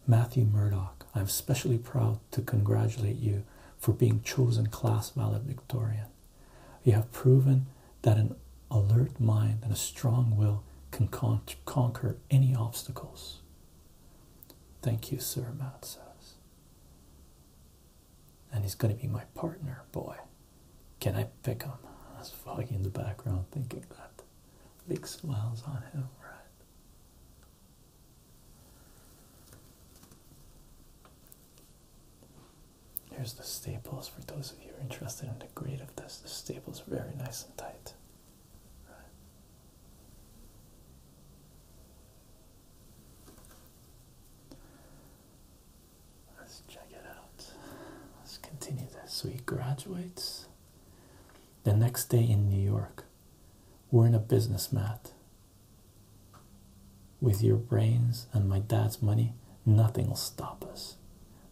Matthew Murdoch, I'm especially proud to congratulate you for being chosen class valedictorian. You have proven that an alert mind and a strong will can conquer any obstacles. Thank you, sir, Matt And he's going to be my partner, boy. Can I pick him? That's Foggy in the background thinking that big smiles on him, right? Here's the staples for those of you who are interested in the grade of this. The staples very nice and tight. Let's check it out. Let's continue this. So he graduates the next day in New York, we're in a business mat. With your brains and my dad's money, nothing will stop us.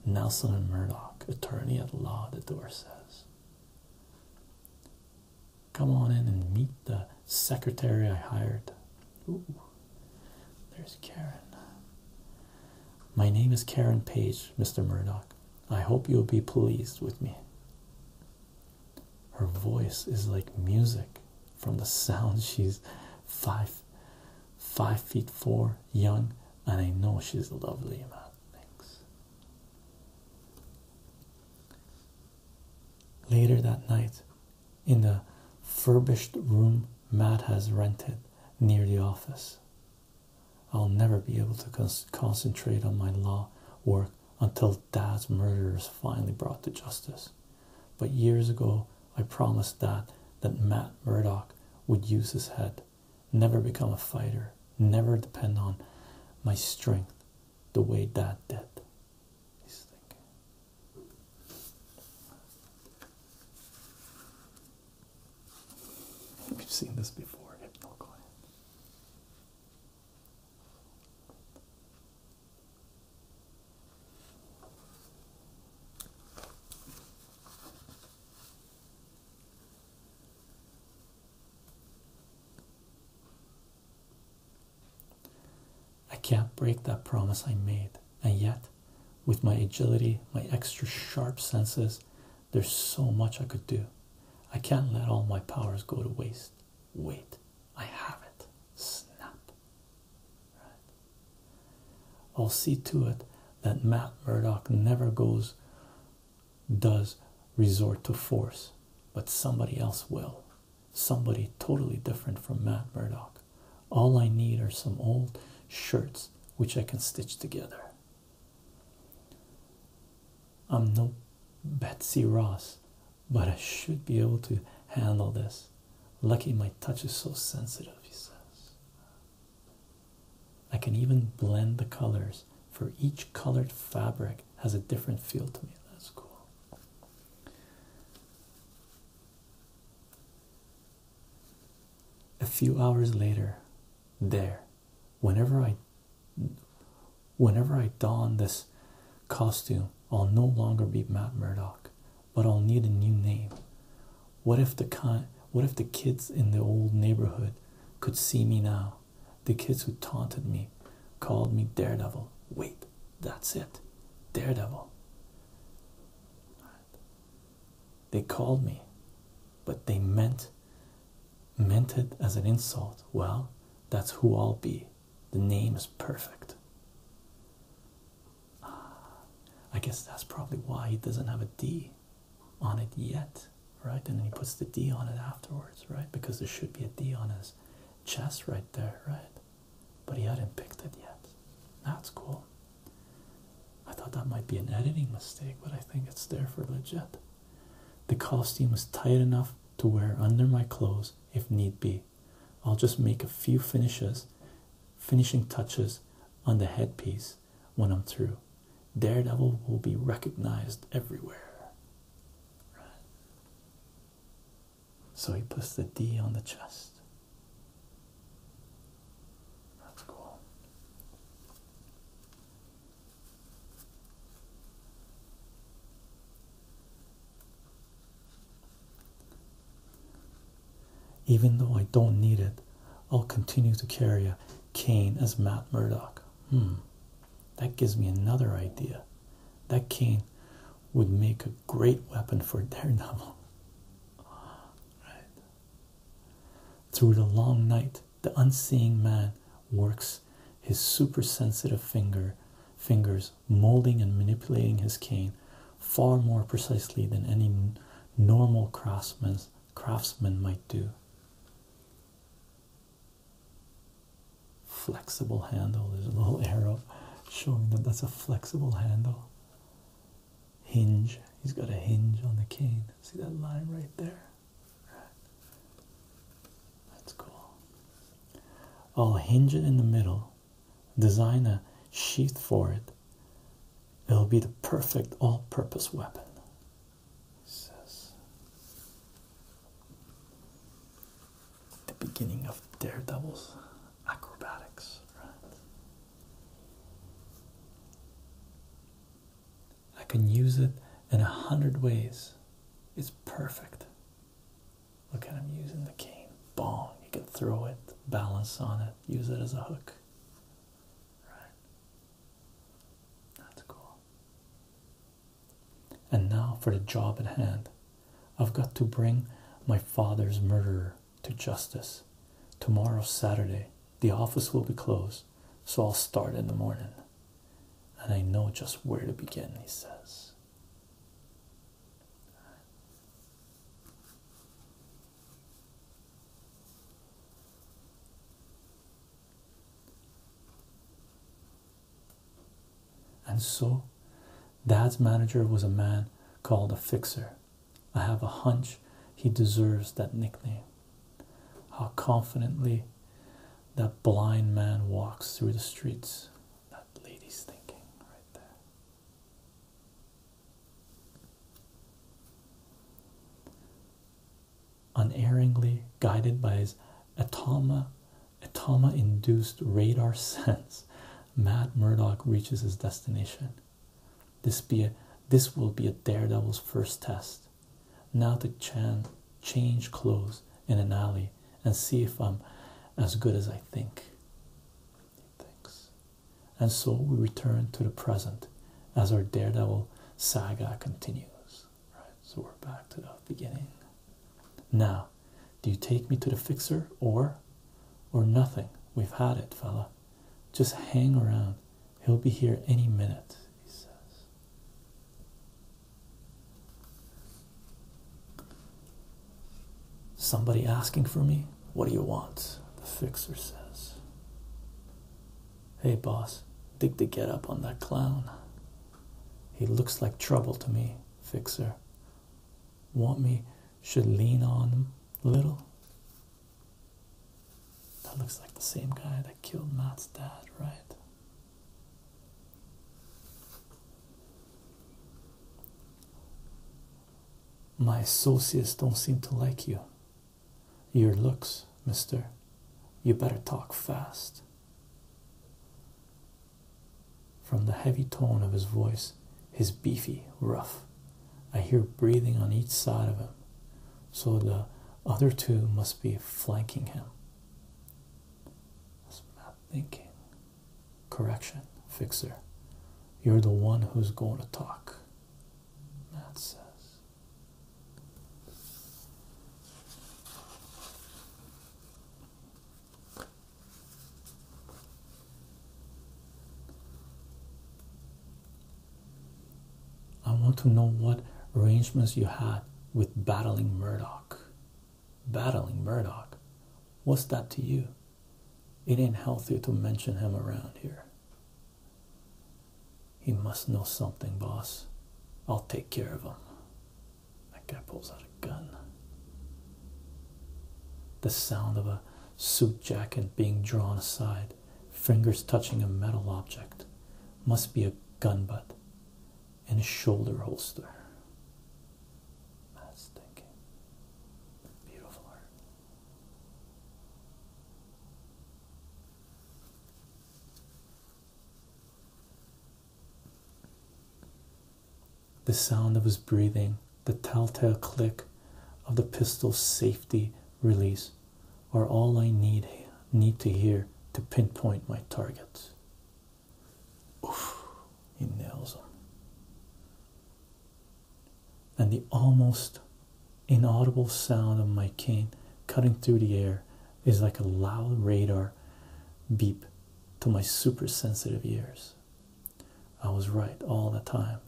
Nelson and Murdoch, attorney at law, the door says. Come on in and meet the secretary I hired. Ooh, there's Karen. My name is Karen Page, Mr. Murdock. I hope you'll be pleased with me. Her voice is like music from the sound. She's five, five feet four, young, and I know she's lovely, Matt. Thanks. Later that night, in the furbished room Matt has rented near the office, I'll never be able to concentrate on my law work until dad's murder is finally brought to justice. But years ago, I promised dad that Matt Murdock would use his head, never become a fighter, never depend on my strength the way dad did. We've seen this before, Hypnoglide. I can't break that promise I made, and yet, with my agility, my extra sharp senses, there's so much I could do. I can't let all my powers go to waste. Wait, I have it. Snap. I'll see to it that Matt Murdock never goes, does resort to force, but somebody else will. Somebody totally different from Matt Murdock. All I need are some old shirts which I can stitch together. I'm no Betsy Ross, but I should be able to handle this. Lucky my touch is so sensitive, he says. I can even blend the colors, for each colored fabric has a different feel to me. That's cool. A few hours later, there, whenever I whenever I don this costume, I'll no longer be Matt Murdock, but I'll need a new name. What if the kind what if the kids in the old neighborhood could see me now? The kids who taunted me called me Daredevil. Wait, that's it. Daredevil. They called me, but they meant Meant it as an insult. Well, that's who I'll be. The name is perfect. Ah, I guess that's probably why he doesn't have a D on it yet, right? And then he puts the D on it afterwards, right? Because there should be a D on his chest right there, right? But he hadn't picked it yet. That's cool. I thought that might be an editing mistake, but I think it's there for legit. The costume is tight enough to wear under my clothes if need be. I'll just make a few finishes, finishing touches on the headpiece when I'm through. Daredevil will be recognized everywhere. So he puts the D on the chest. That's cool. Even though I don't need it, I'll continue to carry a cane as Matt Murdock. Hmm, that gives me another idea. That cane would make a great weapon for Daredevil. Through the long night, the unseeing man works his supersensitive finger fingers molding and manipulating his cane far more precisely than any normal craftsman craftsman might do flexible handle there's a little arrow showing that that's a flexible handle hinge he's got a hinge on the cane see that line right there that's cool. I'll hinge it in the middle, design a sheath for it. It'll be the perfect all purpose weapon. the beginning of Daredevil's acrobatics, right? I can use it in a hundred ways. It's perfect. Look I'm using the cane. Bong. You can throw it, balance on it, use it as a hook. Right. That's cool. And now for the job at hand. I've got to bring my father's murderer to justice. Tomorrow, Saturday, the office will be closed so I'll start in the morning. And I know just where to begin, he says. And so, dad's manager was a man called a fixer. I have a hunch he deserves that nickname. How confidently that blind man walks through the streets. That lady's thinking right there. Unerringly guided by his atama, atama induced radar sense, Matt Murdock reaches his destination. This be a, this will be a daredevil's first test. Now to chan change clothes in an alley and see if I'm as good as I think. Thanks. And so we return to the present as our Daredevil saga continues. Right, so we're back to the beginning. Now, do you take me to the fixer or or nothing? We've had it, fella. Just hang around He'll be here any minute, he says. Somebody asking for me? What do you want? The fixer says. Hey, boss, think to get up on that clown. He looks like trouble to me, fixer. Want me should lean on him a little? That looks like the same guy that killed Matt's dad, right? My associates don't seem to like you. Your looks, mister. You better talk fast. From the heavy tone of his voice, his beefy, rough, I hear breathing on each side of him. So the other two must be flanking him. That's thinking. Correction, fixer. You're the one who's going to talk. Matt says. I want to know what arrangements you had with battling Murdock. Battling Murdock, What's that to you? It ain't healthy to mention him around here. He must know something, boss. I'll take care of him. That guy pulls out a gun. The sound of a suit jacket being drawn aside fingers touching a metal object. Must be a gun butt and a shoulder holster. That's thinking. Beautiful art. The sound of his breathing, the telltale click of the pistol's safety release are all I need need to hear to pinpoint my target. Oof, he nails them. And the almost inaudible sound of my cane cutting through the air is like a loud radar beep to my super sensitive ears. I was right all the time.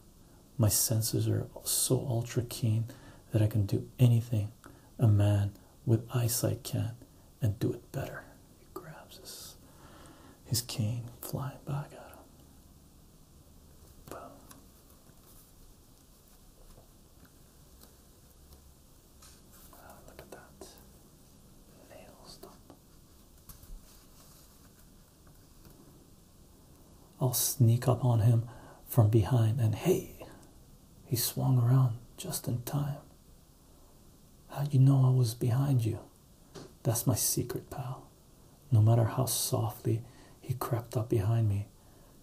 My senses are so ultra keen that I can do anything a man with eyesight can and do it better. He grabs his, cane flying back at him. Boom. Ah, look at that. Nails them. I'll sneak up on him from behind and hey, he swung around just in time. How'd you know I was behind you? That's my secret, pal. No matter how softly he crept up behind me,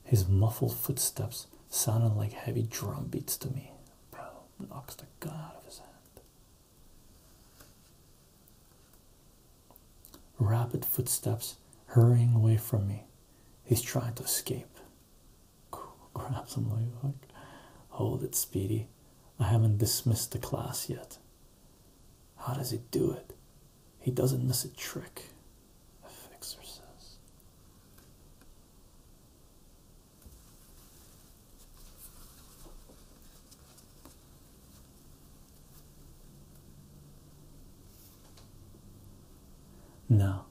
his muffled footsteps sounded like heavy drum beats to me. Bro knocks the gun out of his hand. Rapid footsteps hurrying away from me. He's trying to escape. Grabs him like, like, hold it, Speedy. I haven't dismissed the class yet. How does he do it? He doesn't miss a trick, the fixer says. Now,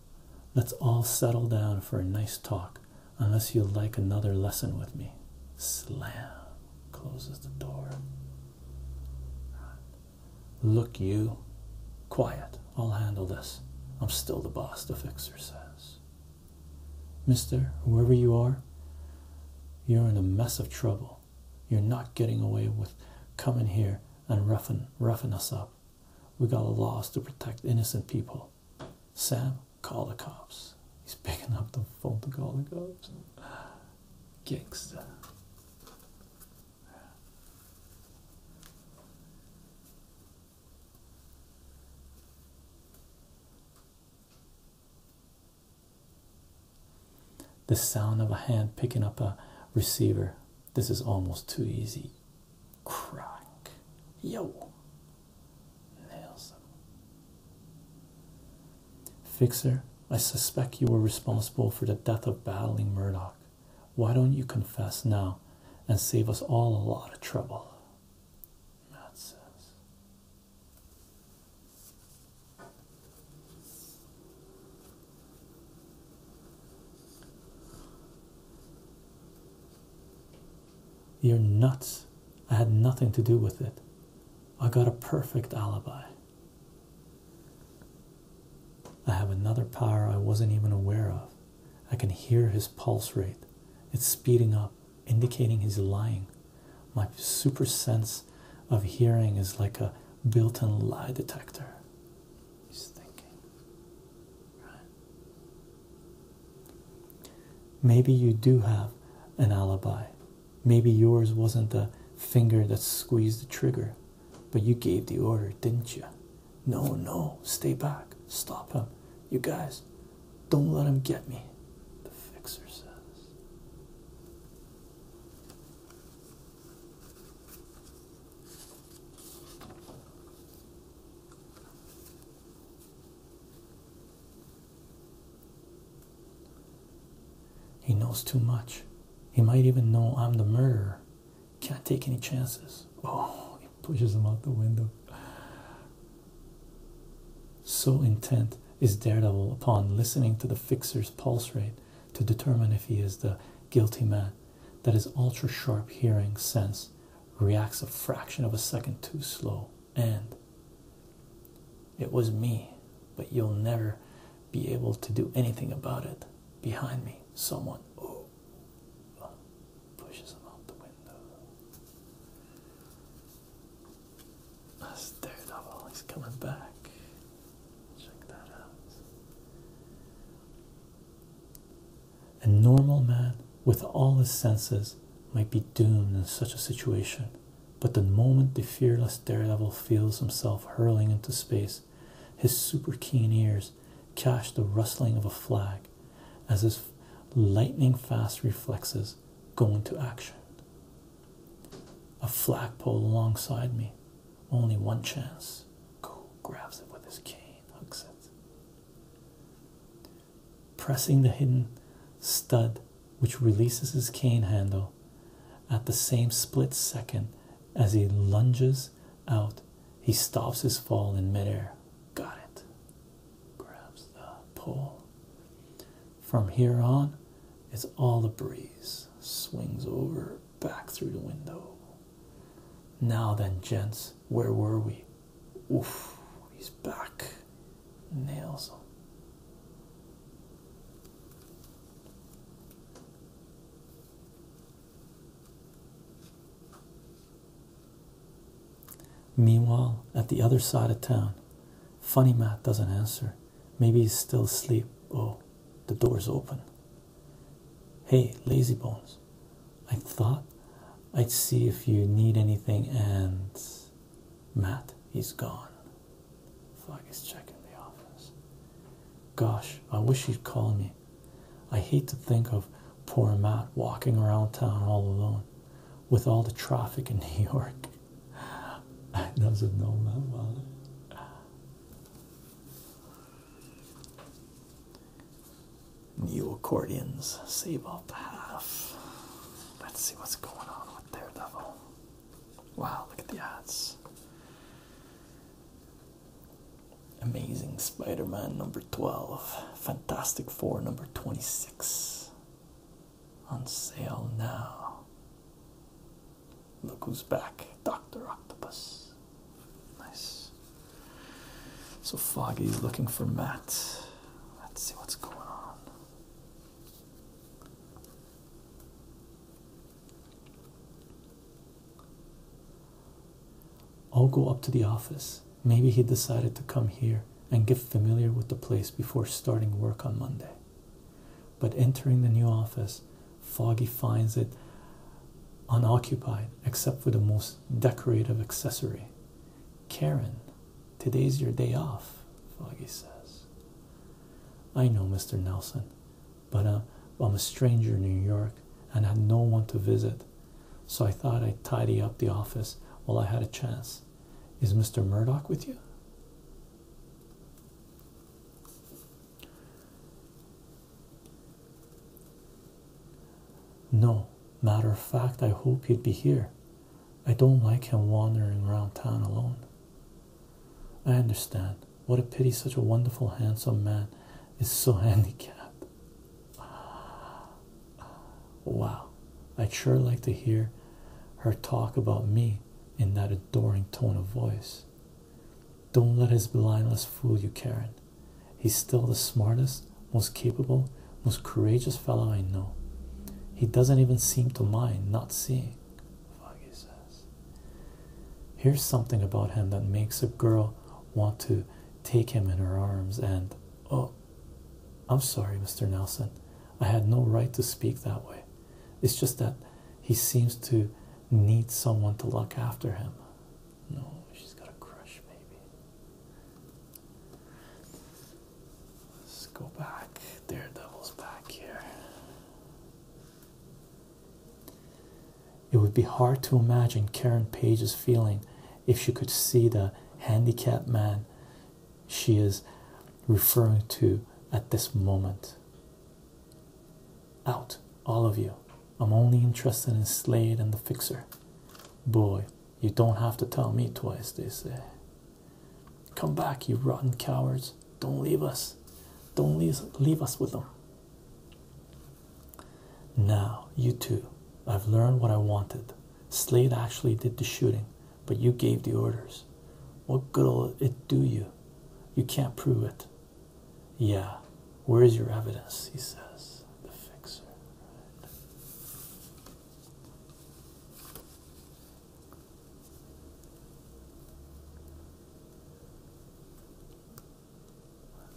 let's all settle down for a nice talk, unless you'd like another lesson with me. Slam closes the door. Look, you. Quiet. I'll handle this. I'm still the boss, the fixer says. Mister, whoever you are, you're in a mess of trouble. You're not getting away with coming here and roughing, roughing us up. We got laws to protect innocent people. Sam, call the cops. He's picking up the phone to call the cops. Gangsta. The sound of a hand picking up a receiver this is almost too easy. Crack. Yo. Nails them. Fixer, I suspect you were responsible for the death of battling Murdoch. Why don't you confess now and save us all a lot of trouble? Matt says. You're nuts. I had nothing to do with it. I got a perfect alibi. I have another power I wasn't even aware of. I can hear his pulse rate. It's speeding up, indicating he's lying. My super sense of hearing is like a built in lie detector he's thinking, Maybe you do have an alibi. Maybe yours wasn't the finger that squeezed the trigger, but you gave the order, didn't you? No, no, stay back, stop him. You guys, don't let him get me, the fixer says. He knows too much. He might even know I'm the murderer. Can't take any chances. Oh, he pushes him out the window. So intent is Daredevil upon listening to the fixer's pulse rate to determine if he is the guilty man that his ultra sharp hearing sense reacts a fraction of a second too slow, and it was me, but you'll never be able to do anything about it. Behind me, someone oh, pushes him out the window. That's Daredevil, he's coming back. Check that out. A normal man with all his senses might be doomed in such a situation, but the moment the fearless daredevil feels himself hurling into space, his super keen ears catch the rustling of a flag as his lightning fast reflexes go into action. A flagpole alongside me, only one chance. Go grabs it with his cane, hooks it. Pressing the hidden stud which releases his cane handle at the same split second as he lunges out, he stops his fall in midair. Got it. Grabs the pole. From here on, it's all a breeze. Swings over back through the window. Now then, gents, where were we? Oof, he's back. Nails Meanwhile, at the other side of town, Funny Matt doesn't answer. Maybe he's still asleep. Oh, the door's open. Hey, Lazybones, I thought I'd see if you need anything, and Matt, he's gone. Flag is checking the office. Gosh, I wish he'd call me. I hate to think of poor Matt walking around town all alone with all the traffic in New York. I doesn't know my New accordions, save up half. Let's see what's going on with Daredevil. Wow, look at the ads. Amazing Spider Man number 12, Fantastic Four number 26. On sale now. Look who's back, Dr. Octopus. Nice. So foggy. looking for Matt. Let's see what's going on. I'll go up to the office. Maybe he decided to come here and get familiar with the place before starting work on Monday. But entering the new office, Foggy finds it unoccupied except for the most decorative accessory. Karen, today's your day off, Foggy says. I know, Mr. Nelson, but uh, I'm a stranger in New York and had no one to visit, so I thought I'd tidy up the office while I had a chance. Is Mr. Murdoch with you? No, matter of fact, I hope he'd be here. I don't like him wandering around town alone. I understand. What a pity such a wonderful, handsome man is so handicapped. Wow, I'd sure like to hear her talk about me in that adoring tone of voice. Don't let his blindness fool you, Karen. He's still the smartest, most capable, most courageous fellow I know. He doesn't even seem to mind not seeing. Foggy says. Here's something about him that makes a girl want to take him in her arms and oh I'm sorry, Mr. Nelson. I had no right to speak that way. It's just that he seems to need someone to look after him. No, she's got a crush, maybe. Let's go back. Daredevil's back here. It would be hard to imagine Karen Page's feeling if she could see the handicapped man she is referring to at this moment. Out, all of you. I'm only interested in Slade and the Fixer. Boy, you don't have to tell me twice, they say. Come back, you rotten cowards. Don't leave us. Don't leave, leave us with them. Now, you two, I've learned what I wanted. Slade actually did the shooting, but you gave the orders. What good will it do you? You can't prove it. Yeah, where is your evidence? He says, the fixer. Let's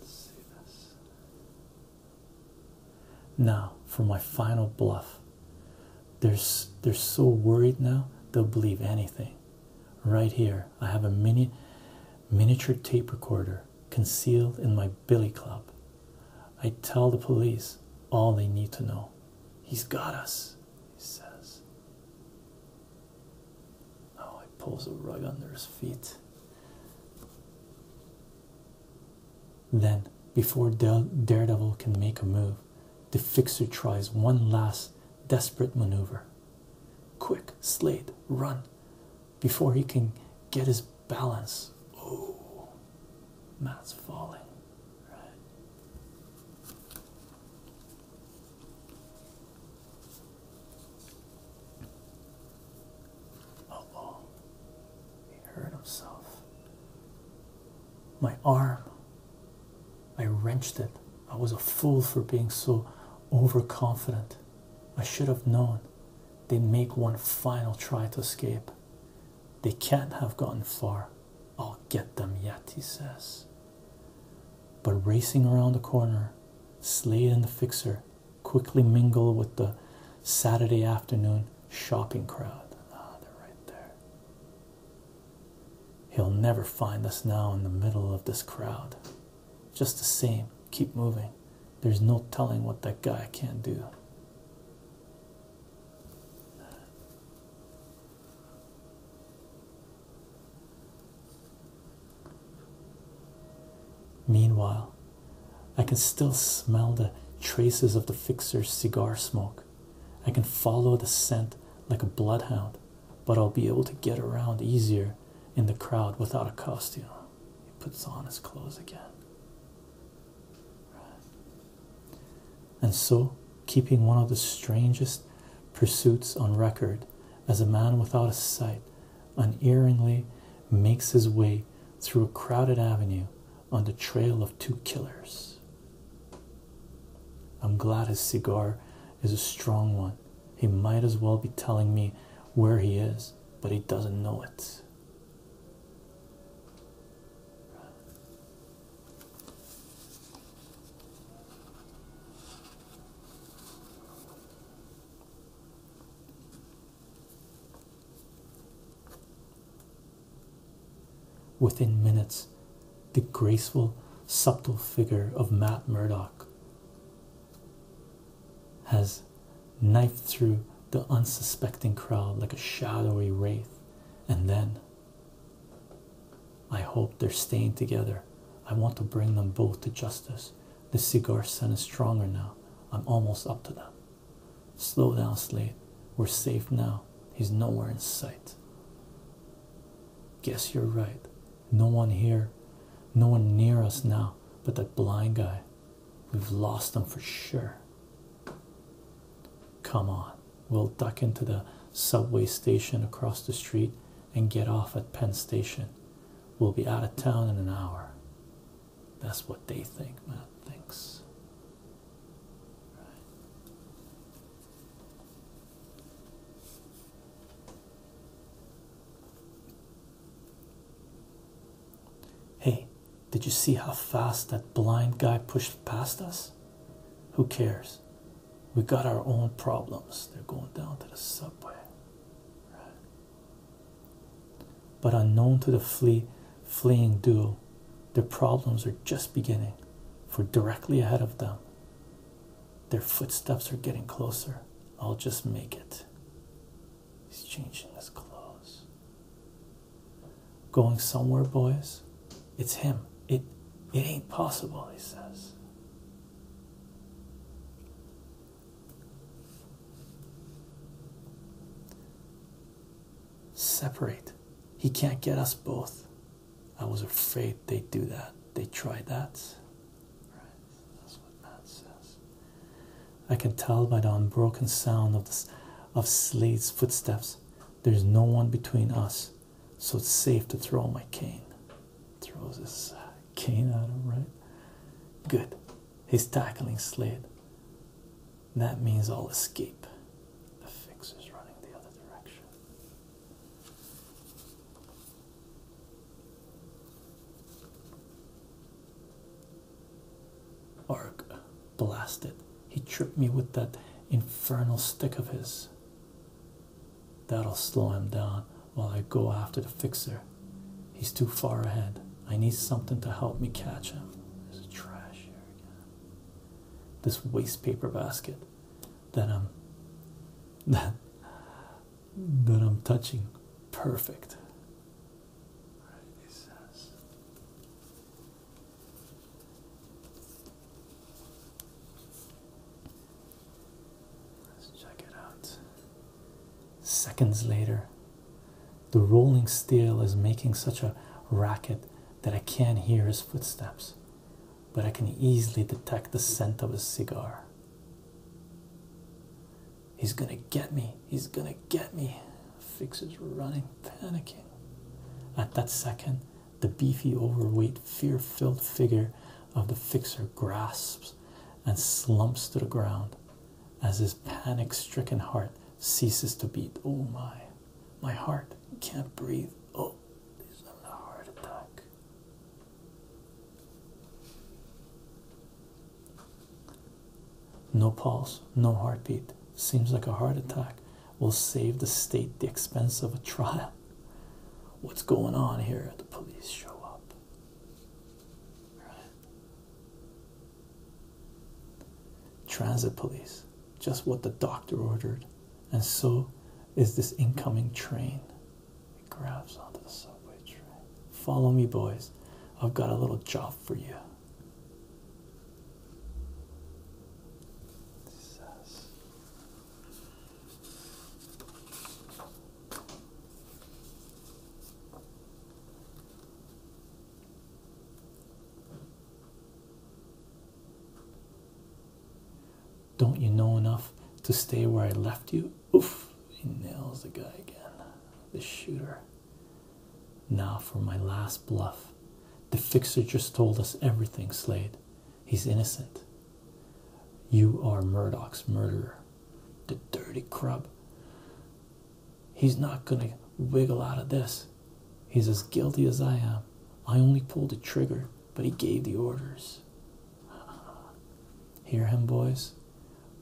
see this. Now, for my final bluff. They're, they're so worried now, they'll believe anything. Right here, I have a mini miniature tape recorder concealed in my billy club. I tell the police all they need to know. He's got us, he says. Now he pulls a rug under his feet. Then, before Daredevil can make a move, the fixer tries one last desperate maneuver. Quick, Slade, run! before he can get his balance. Oh, Matt's falling. Right. oh, he hurt himself. My arm. I wrenched it. I was a fool for being so overconfident. I should have known. They make one final try to escape. They can't have gotten far. I'll get them yet, he says. But racing around the corner, Slade and the Fixer quickly mingle with the Saturday afternoon shopping crowd. Ah, they're right there. He'll never find us now in the middle of this crowd. Just the same, keep moving. There's no telling what that guy can do. Meanwhile, I can still smell the traces of the fixer's cigar smoke. I can follow the scent like a bloodhound, but I'll be able to get around easier in the crowd without a costume. He puts on his clothes again. And so, keeping one of the strangest pursuits on record, as a man without a sight unerringly makes his way through a crowded avenue on the trail of two killers. I'm glad his cigar is a strong one he might as well be telling me where he is, but he doesn't know it. Within minutes, the graceful, subtle figure of Matt Murdock has knifed through the unsuspecting crowd like a shadowy wraith, and then I hope they're staying together. I want to bring them both to justice. The cigar scent is stronger now. I'm almost up to them. Slow down, Slade. We're safe now. He's nowhere in sight. Guess you're right. No one here, no one near us now, but that blind guy. We've lost them for sure. Come on, we'll duck into the subway station across the street and get off at Penn Station. We'll be out of town in an hour. That's what they think, man. thinks. Right. Hey, did you see how fast that blind guy pushed past us? Who cares? We got our own problems. They're going down to the subway. Right. But unknown to the flee, fleeing duo, their problems are just beginning, for directly ahead of them, their footsteps are getting closer. I'll just make it. He's changing his clothes. Going somewhere, boys? It's him. It it ain't possible, he says. Separate. He can't get us both. I was afraid they'd do that. They tried that. Right. That's what Matt says. I can tell by the unbroken sound of Slade's footsteps. There's no one between us, so it's safe to throw my cane. Throws his uh, cane at him, right? Good. He's tackling Slade. That means I'll escape. The fix is running the other direction. Ark blasted. He tripped me with that infernal stick of his. That'll slow him down while I go after the fixer. He's too far ahead. I need something to help me catch him. There's trash here again. This waste paper basket that I'm that that I'm touching. Perfect. Let's check it out. Seconds later, the rolling steel is making such a racket that I can't hear his footsteps, but I can easily detect the scent of his cigar. He's gonna get me. He's gonna get me. Fix running, panicking. At that second, the beefy, overweight, fear filled figure of the fixer grasps and slumps to the ground as his panic stricken heart ceases to beat. Oh my, my heart can't breathe. Oh, he's having a heart attack. No pulse, no heartbeat. Seems like a heart attack. will save the state the expense of a trial. What's going on here? The police show up. Transit police, just what the doctor ordered, and so is this incoming train. He grabs onto the subway train. Follow me, boys. I've got a little job for you. Don't you know enough to stay where I left you? Oof! He nails the guy again. The shooter. Now for my last bluff. The fixer just told us everything, Slade. He's innocent. You are Murdoch's murderer. The dirty crub. He's not gonna wiggle out of this. He's as guilty as I am. I only pulled the trigger, but he gave the orders. Hear him, boys?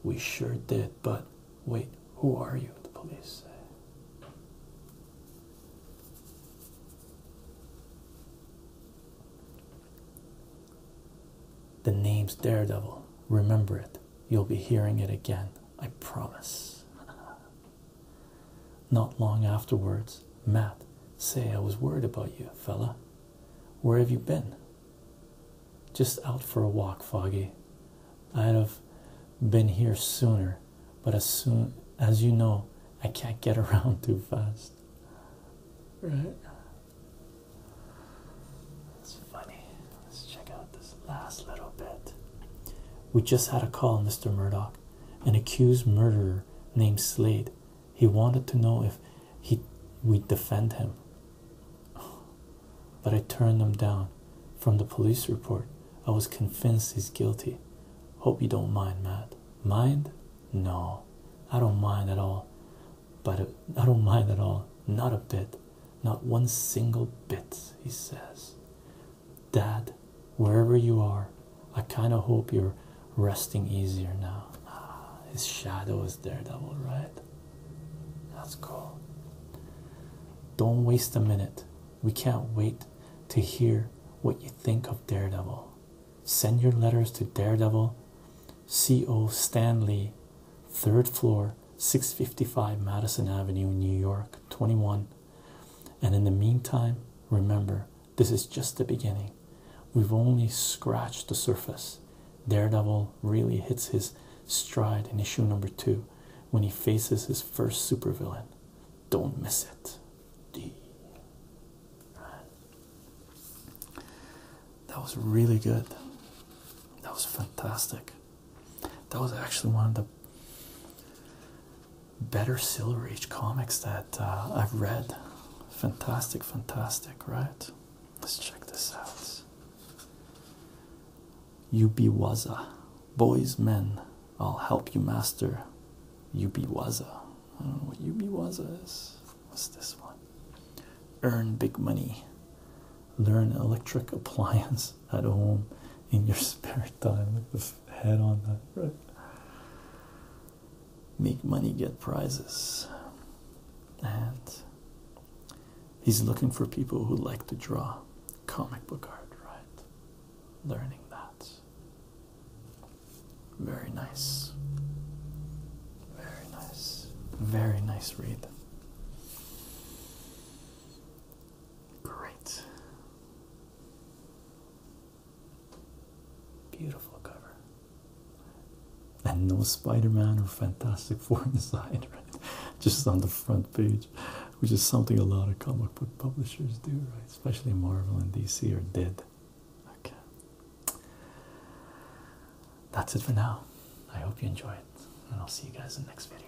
We sure did, but wait, who are you? The police say. The name's Daredevil. Remember it. You'll be hearing it again, I promise. Not long afterwards, Matt, say I was worried about you, fella. Where have you been? Just out for a walk, Foggy. I'd have been here sooner, but as soon as you know, I can't get around too fast. Right? It's funny. Let's check out this last little bit. We just had a call, Mr. Murdoch, an accused murderer named Slade. He wanted to know if he we'd defend him. But I turned them down. From the police report, I was convinced he's guilty. Hope you don't mind, Matt. Mind? No, I don't mind at all. But I don't mind at all. Not a bit. Not one single bit, he says. Dad, wherever you are, I kind of hope you're resting easier now. Ah, his shadow is there. Daredevil, right? That's cool. Don't waste a minute. We can't wait to hear what you think of Daredevil. Send your letters to Daredevil, C.O. Stanley, 3rd floor, 655 Madison Avenue, New York, 21. And in the meantime, remember, this is just the beginning. We've only scratched the surface. Daredevil really hits his stride in issue number two when he faces his first supervillain. Don't miss it. D. That was really good. That was fantastic. That was actually one of the better Silver Age comics that uh, I've read. Fantastic, fantastic, right? Let's check this out. Ubiwaza. Boys, men, I'll help you master Ubiwaza. I don't know what Ubiwaza is. What's this one? Earn big money. Learn electric appliance at home in your spare time. head on that, right? Make money, get prizes. And He's looking for people who like to draw comic book art, right? Learning that. Very nice. Very nice. Very nice read. Great. Beautiful cover and no Spider-Man or Fantastic Four inside, right? Just on the front page, which is something a lot of comic book publishers do, right? Especially Marvel and DC are did. Okay. That's it for now. I hope you enjoy it, and I'll see you guys in the next video.